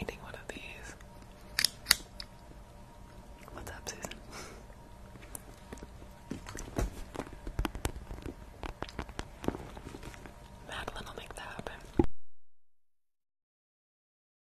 i one of these. What's up, Susan? Madeline will make that happen.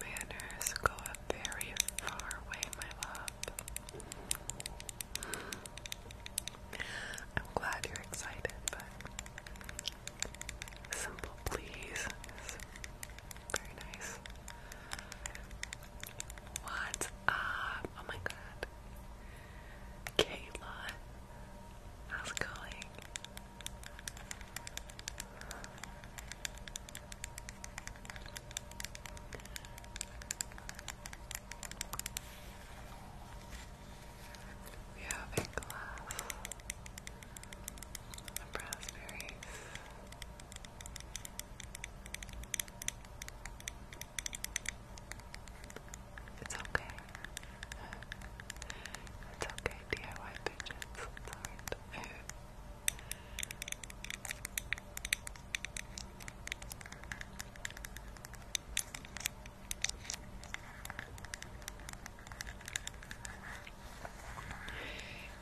Manners go a very far way, my love. I'm glad you're excited, but simple please very nice. What's up? Um, oh my god. Kayla, how's it going? We have a glass of raspberries. It's okay. It's okay, DIY bitches.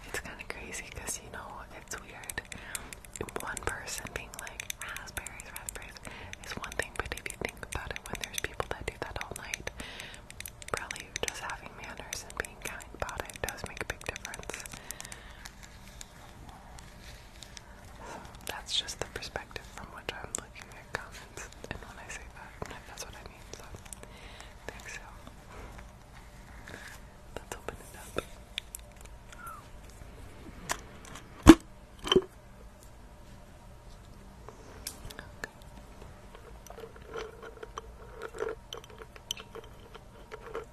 It's kind of crazy because you know it's weird. One person being like raspberries, raspberries is one thing, but if you think about it, when there's people that do that all night, probably just having manners and being kind about it does make a big difference. So that's just the perspective from which I'm looking at comments, and when I say that, that's what I mean. So I Let's open it up.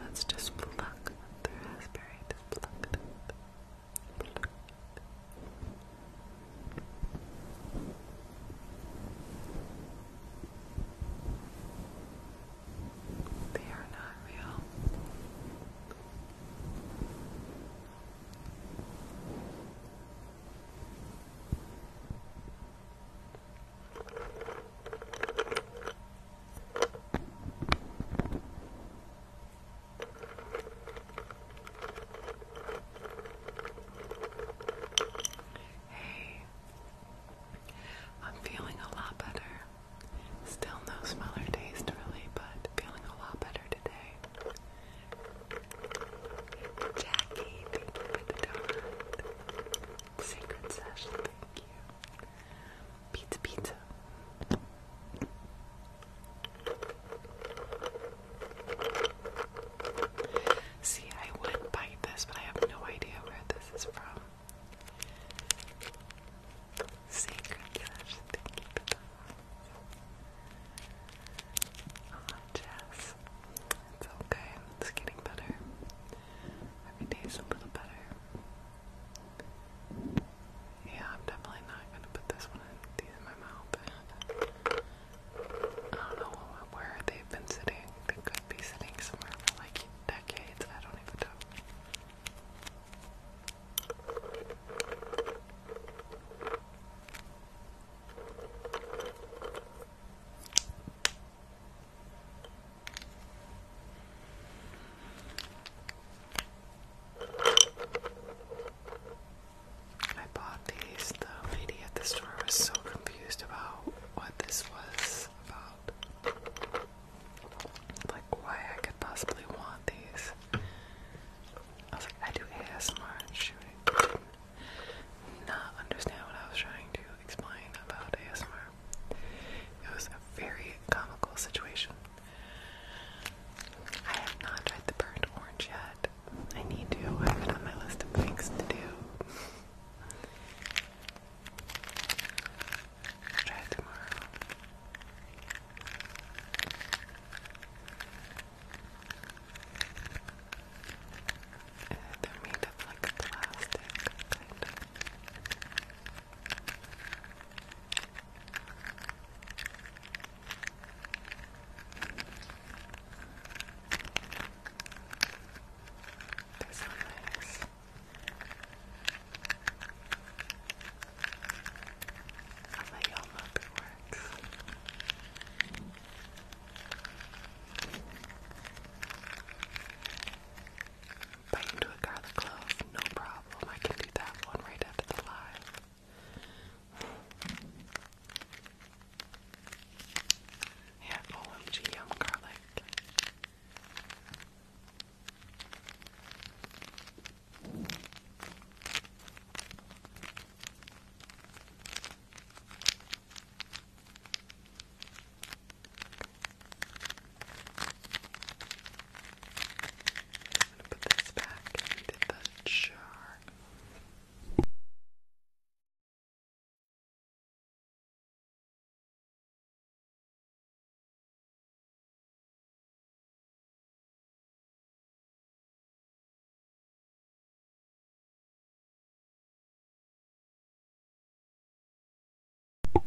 Let's just pluck the raspberry. pluck They are not real. Hey, I'm feeling a lot better. Still no smell or taste, really, but feeling a lot better today. Jackie, thank you for the donut. Sacred Session, thank you. Pizza, pizza. See, I would bite this, but I have no idea where this is from. Sacred Session, thank you. Oh, Jess. It's it's okay. It's getting better. Every day's a little better. Yeah, I'm definitely not gonna put this one in, in my mouth. I don't know where they've been sitting. They could be sitting somewhere for like decades. I don't even know. I bought these. The lady at the store was so confused about what this was about. Like, why I could possibly want these. I was like, I do ASMR and shooting. Did not understand what I was trying to explain about ASMR. It was a very comical situation. I have not tried the burnt orange yet. I need to. I have it on my list of things to do. try tomorrow uh, they're made of like plastic, kind so nice. I'll let y'all know if Bite into a garlic clove, no problem. I can do that one right after the lie. Yeah, OMG, yum garlic gonna put this back into the jar.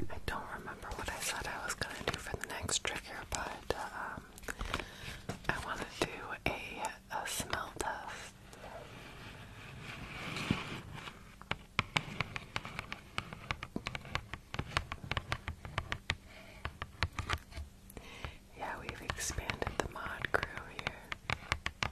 I don't remember what I said I was going to do for the next trick here, but um, I want to do a, a smell test. Yeah, we've expanded the mod crew here.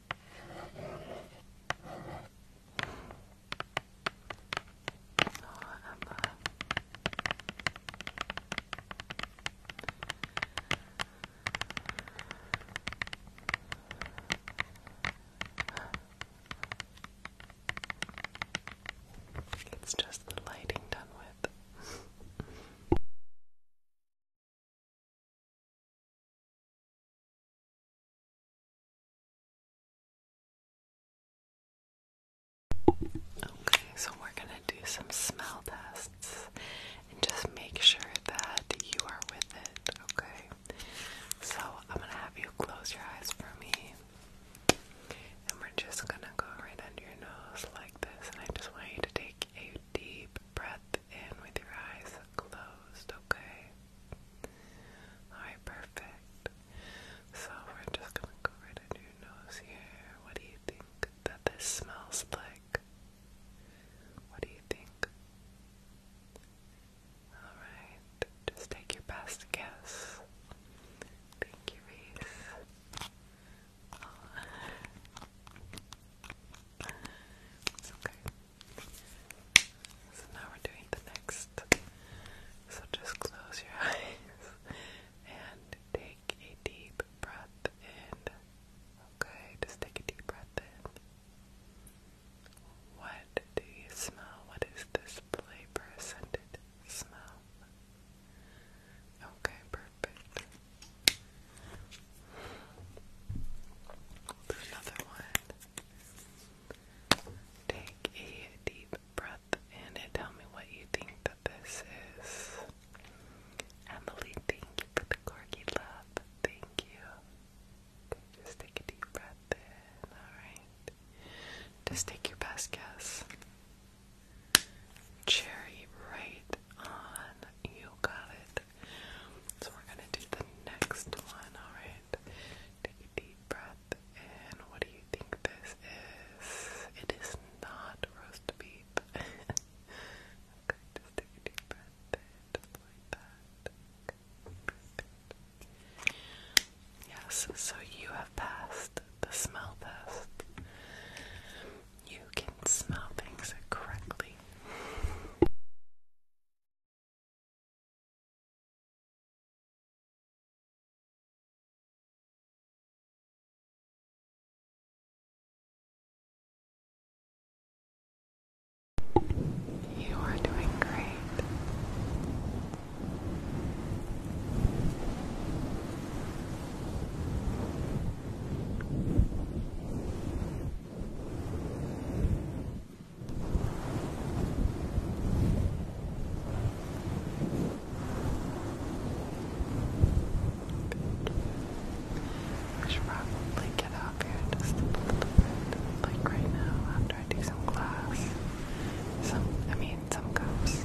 So, Amber. It's just the lighting done with. Okay, so we're going to do some smell tests and just make sure that you are with it, okay? So I'm going to have you close your eyes for me. And we're just going to go right under your nose like this. And I just want you to take a deep breath in with your eyes closed, okay? Alright, perfect. So we're just gonna go right under your nose here. What do you think that this smells like? What do you think? Alright, just take your best guess. Thank you, Reese. It's okay. So now we're doing the next. So just close your eyes and take a deep breath in. Okay, just take a deep breath in. What do you smell? What is this flavor scented smell? Okay, perfect we another one. Take a deep breath and tell me what you think that this is. Emily, thank you for the corgi love. Thank you. just take a deep breath in. Alright. Just take your best guess. Cherry right on. You got it. So we're gonna do the next one, alright? Take a deep breath in. What do you think this is? It is not roast beef. okay, take a deep breath in, like that. yes, so you have passed the smell test. You can smell things correctly. You are doing great. I should probably get up here just a little bit, like right now, after I do some glass. Some, I mean, some cups.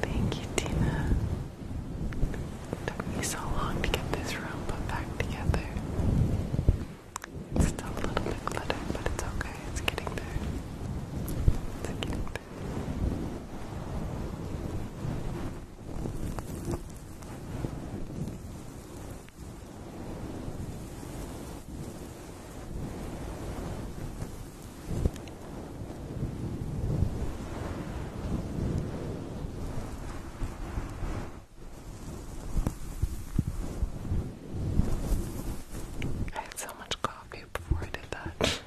Thank you, Tina. took me so long to get this room put back together. It's still a little bit cluttered, but it's okay. It's getting there. It's getting there. I had so much coffee before I did that.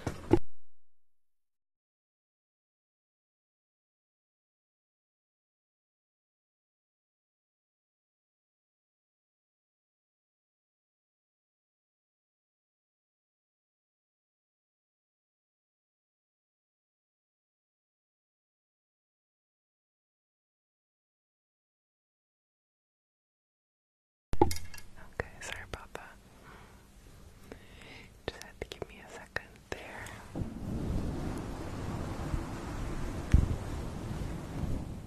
Okay, sorry about that. Just had to give me a second there.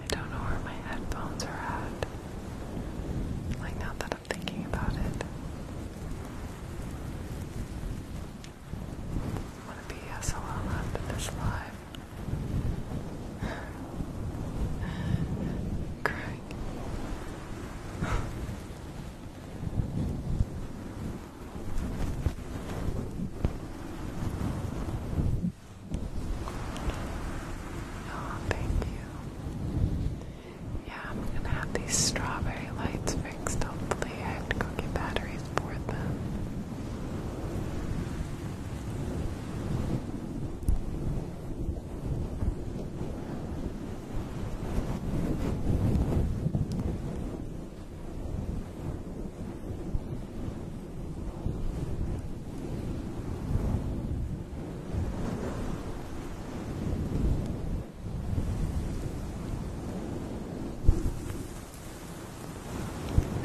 I don't know where my headphones are at. Like, now that I'm thinking about it, I'm gonna be SOL after this live. Crying. Oh, thank you. Yeah, I'm gonna have these strawberry lights fixed. Hopefully, I have to go get batteries for them.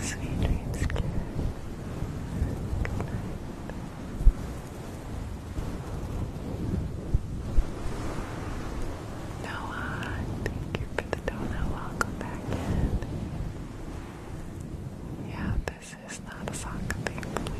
Sweet dreams, Claire. Noah, thank you for the donut. Welcome back yeah, this is not a sock, thankfully. Okay.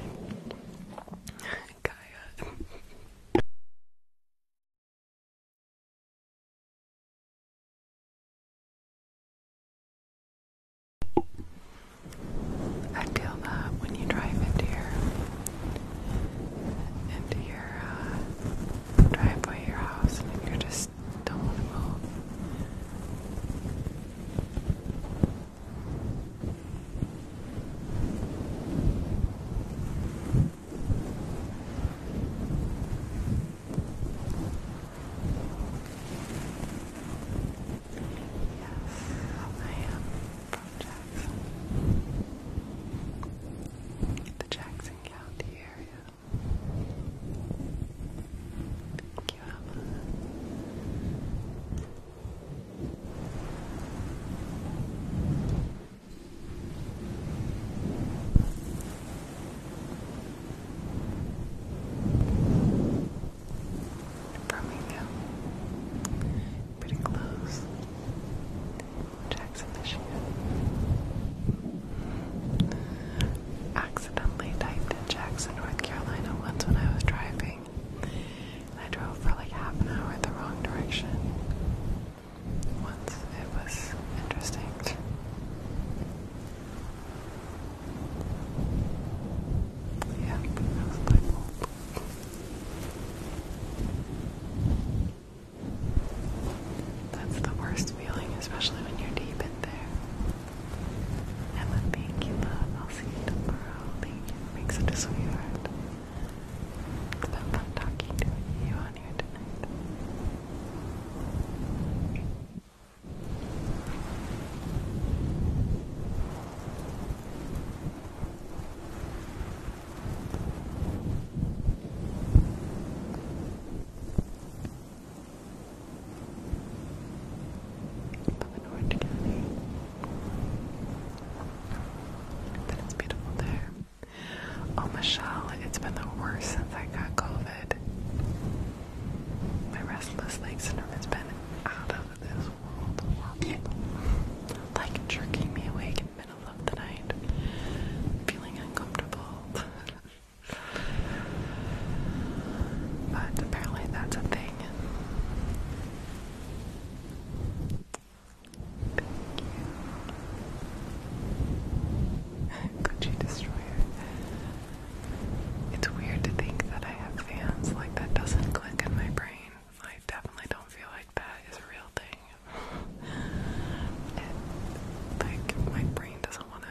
I feel that when you drive into your into your uh, driveway, your house, and you're just just don't want to move. Yes, I am from Jackson. The Jackson County area. Thank you, Birmingham, pretty close. Jackson, Michigan. Access accidentally typed in Jackson, North Carolina once when I was driving. And I drove for like half an hour in the wrong direction. Once it was interesting. Yeah, that was my That's the worst feeling, especially when you're deep in there i Emma, thank you, love. I'll see you tomorrow. Thank you. Make such a sweetheart. It's been fun talking to you on here tonight. Up in Orange County. But it's beautiful there. Oh, Michelle, it's been the worst since I got COVID. My restless leg syndrome has been out of this world Like jerking me awake in middle of the night, feeling uncomfortable. But apparently that's a thing. Thank you. It's weird to think that I have fans. Like, that doesn't click in my brain. I definitely don't feel like that is a real thing. like, my brain doesn't want to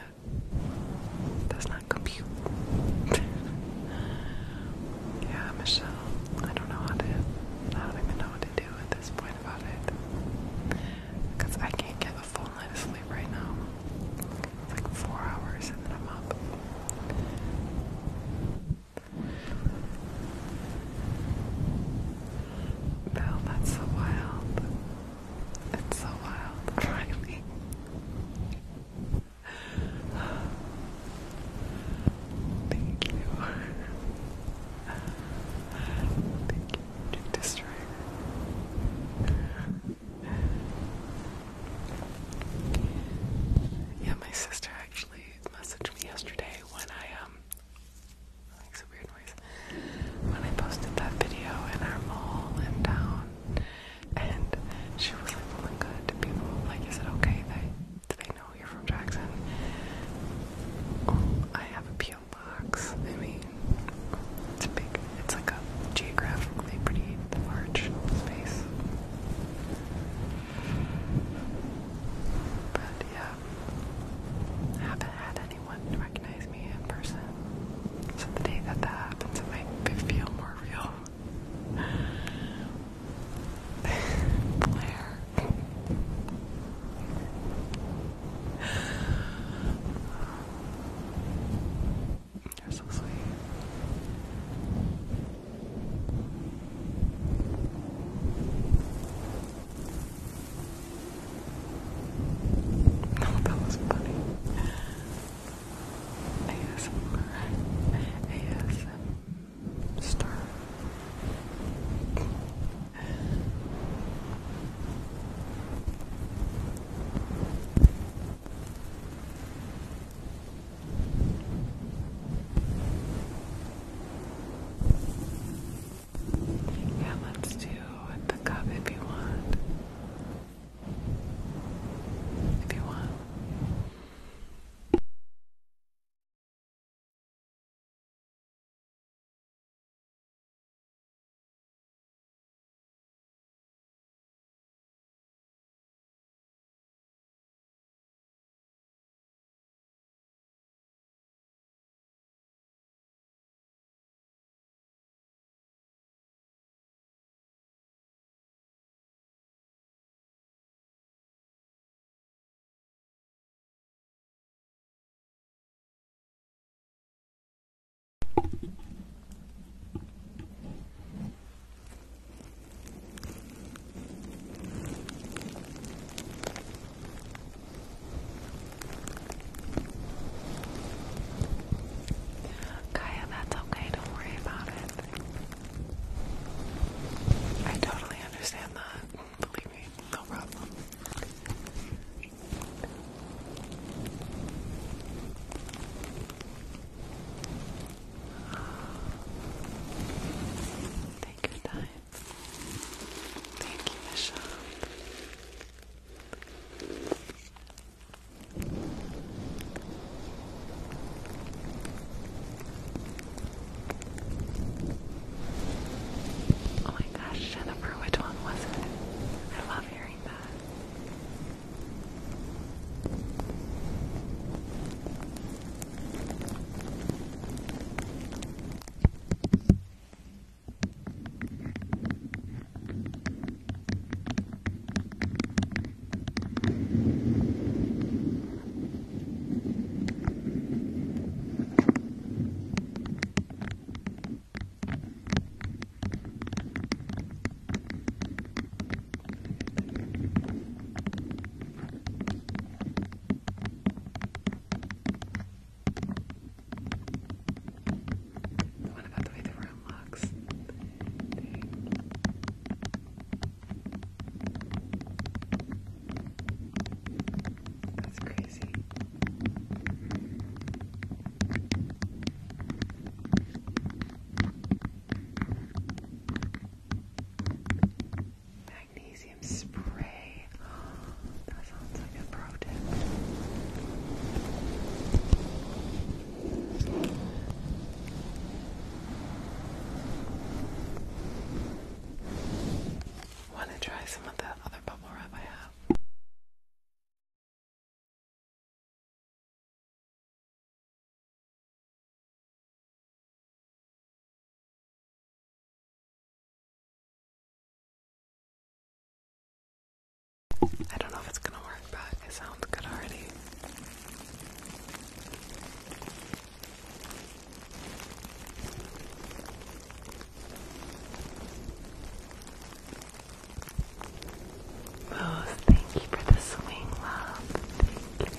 does not compute. yeah, Michelle, I don't know how to, I don't even know what to do at this point about it. Because I can't get a full night of sleep right now. It's like four hours and then I'm up. Bill, that's so wild. It's so wild, Riley. Thank you. Thank you, Jig Yeah, my sister actually messaged me yesterday when I um that makes weird noise. When I posted that video in our mall in town and she was like really oh good to people. Like, is it okay they they know you're from Jackson? I have a peel box. I mean, it's big. It's like a geographically pretty large space. But yeah, I haven't had anyone recognize me in person. So the day that that happens, it might feel more real. Blair. You're so sweet. No, that was funny. ASMR. ASM star. Yeah, let's do the cup if you want if you want. Kaya, that's okay. Don't worry about it. I totally understand that. Believe me, no problem. Take your time. Thank you, Michelle. Oh my gosh, Jennifer, which one was it? I love hearing that. What about the way the room looks? That's crazy. Magnesium spray. That sounds like a pro tip. Want to try some of that other bubble wrap I have? I don't know if it's gonna work, but it sounds good already. Rose, thank you for the swing, love. Thank you.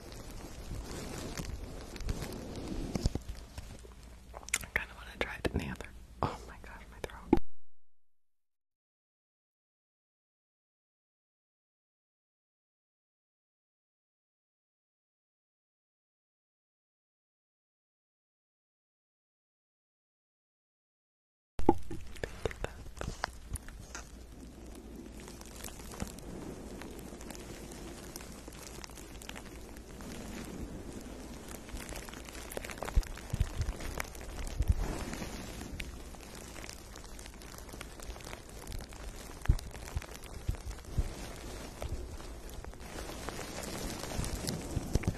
I kind of want to try it in the other. Oh my gosh, my throat.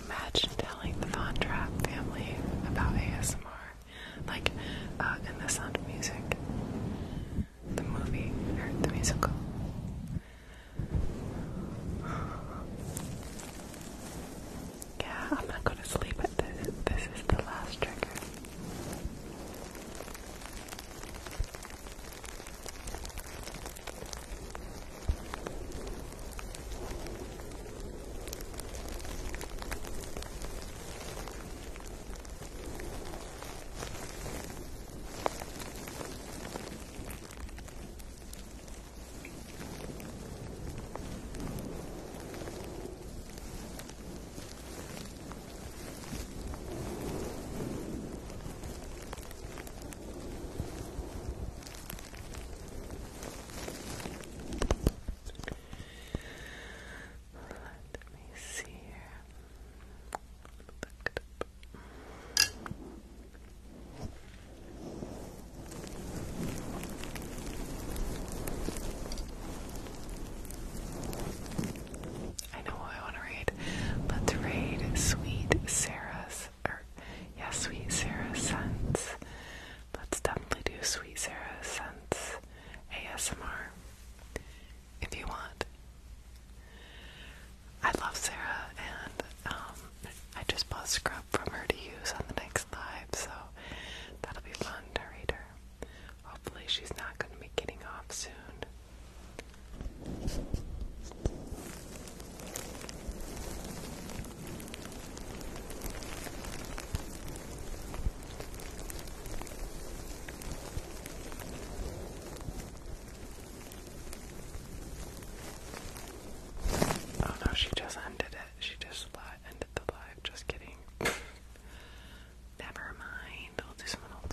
Imagine telling the Von Trapp family about ASMR, like in uh, the sound of music the movie or the musical. Yeah, I'm not going to sleep at this. This is the last trigger. Let me see here. I know what I want to read. Let's read Sweet Sarah's, or yeah, Sweet Sarah's Scent. Let's definitely do Sweet Sarah's Scent ASMR if you want. I love Sarah, and um, I just bought scrub from her to use on the next live, so that'll be fun to read her. Hopefully, she's not going to be getting off soon. Oh no, she just ended it. She just ended the live. Just kidding. Never mind. I'll do someone else.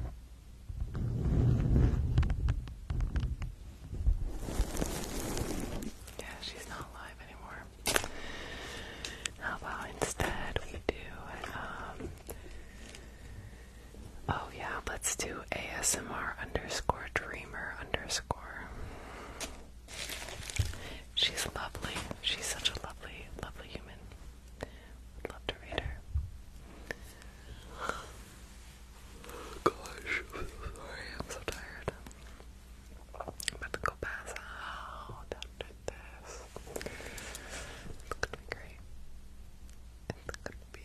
Yeah, she's not live anymore. How about instead we do, um, oh yeah, let's do ASMR underscore dreamer underscore. She's lovely. She's such a lovely, lovely human love to read her. Gosh, I'm so tired. I'm about to go pass out after this. It's gonna be great. It's gonna be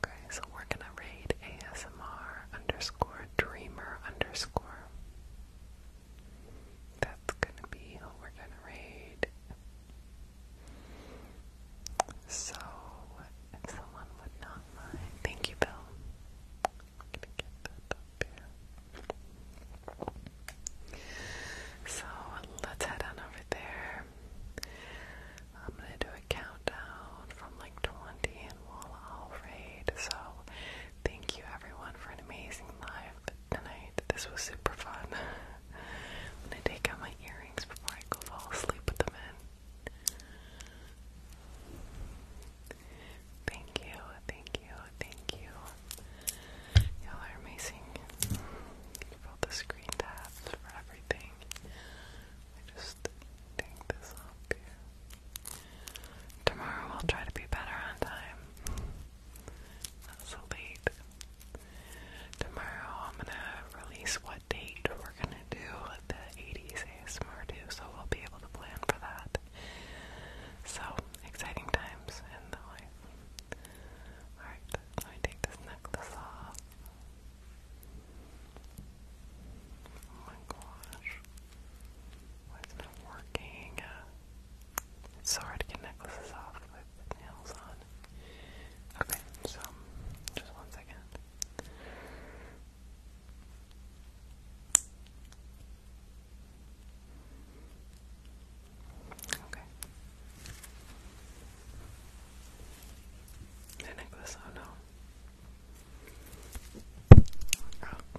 Okay, so we're gonna raid ASMR underscore dreamer underscore. That's gonna be who we're gonna raid. So, if someone would not mind, thank you, Bill. So, let's head on over there. I'm gonna do a countdown from like 20 and we'll all So, thank you everyone for an amazing live tonight. This was super fun. gonna take out my earrings before I go fall asleep with them in. Thank you, thank you, thank you. Y'all are amazing. For all the screen tabs, for everything. I just take this off Tomorrow I'll try to be better on time. Not late. Tomorrow I'm gonna release what date we're gonna do the 80s ASMR so we'll be able to plan for that. So, exciting times in the life. Alright, let me take this necklace off. Oh my gosh. Why is it not working? Sorry to get necklaces off with nails on. Okay, so just one second. Okay. The necklace, oh no. Oh.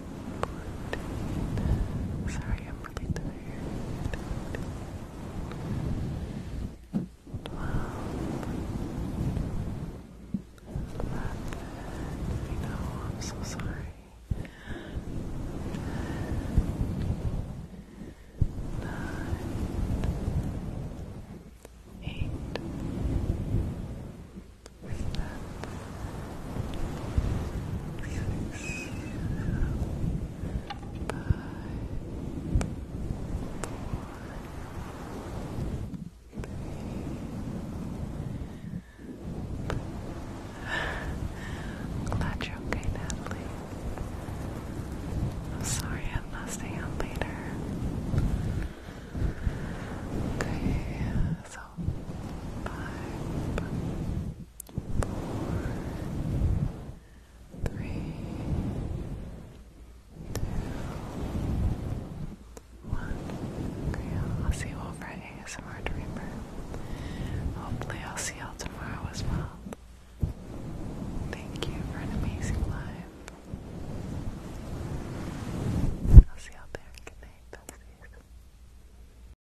Sorry, I'm really tired. 12. 11. I know, I'm so sorry. 9, 8, 7, Glad you're okay, Natalie. I'm sorry I'm not staying out later. Okay, so five, four, three, two, one. Okay, I'll see you all for ASMR Dreamer. Hopefully, I'll see y'all tomorrow as well. Thank you for an amazing live. I'll see y'all there. Good besties.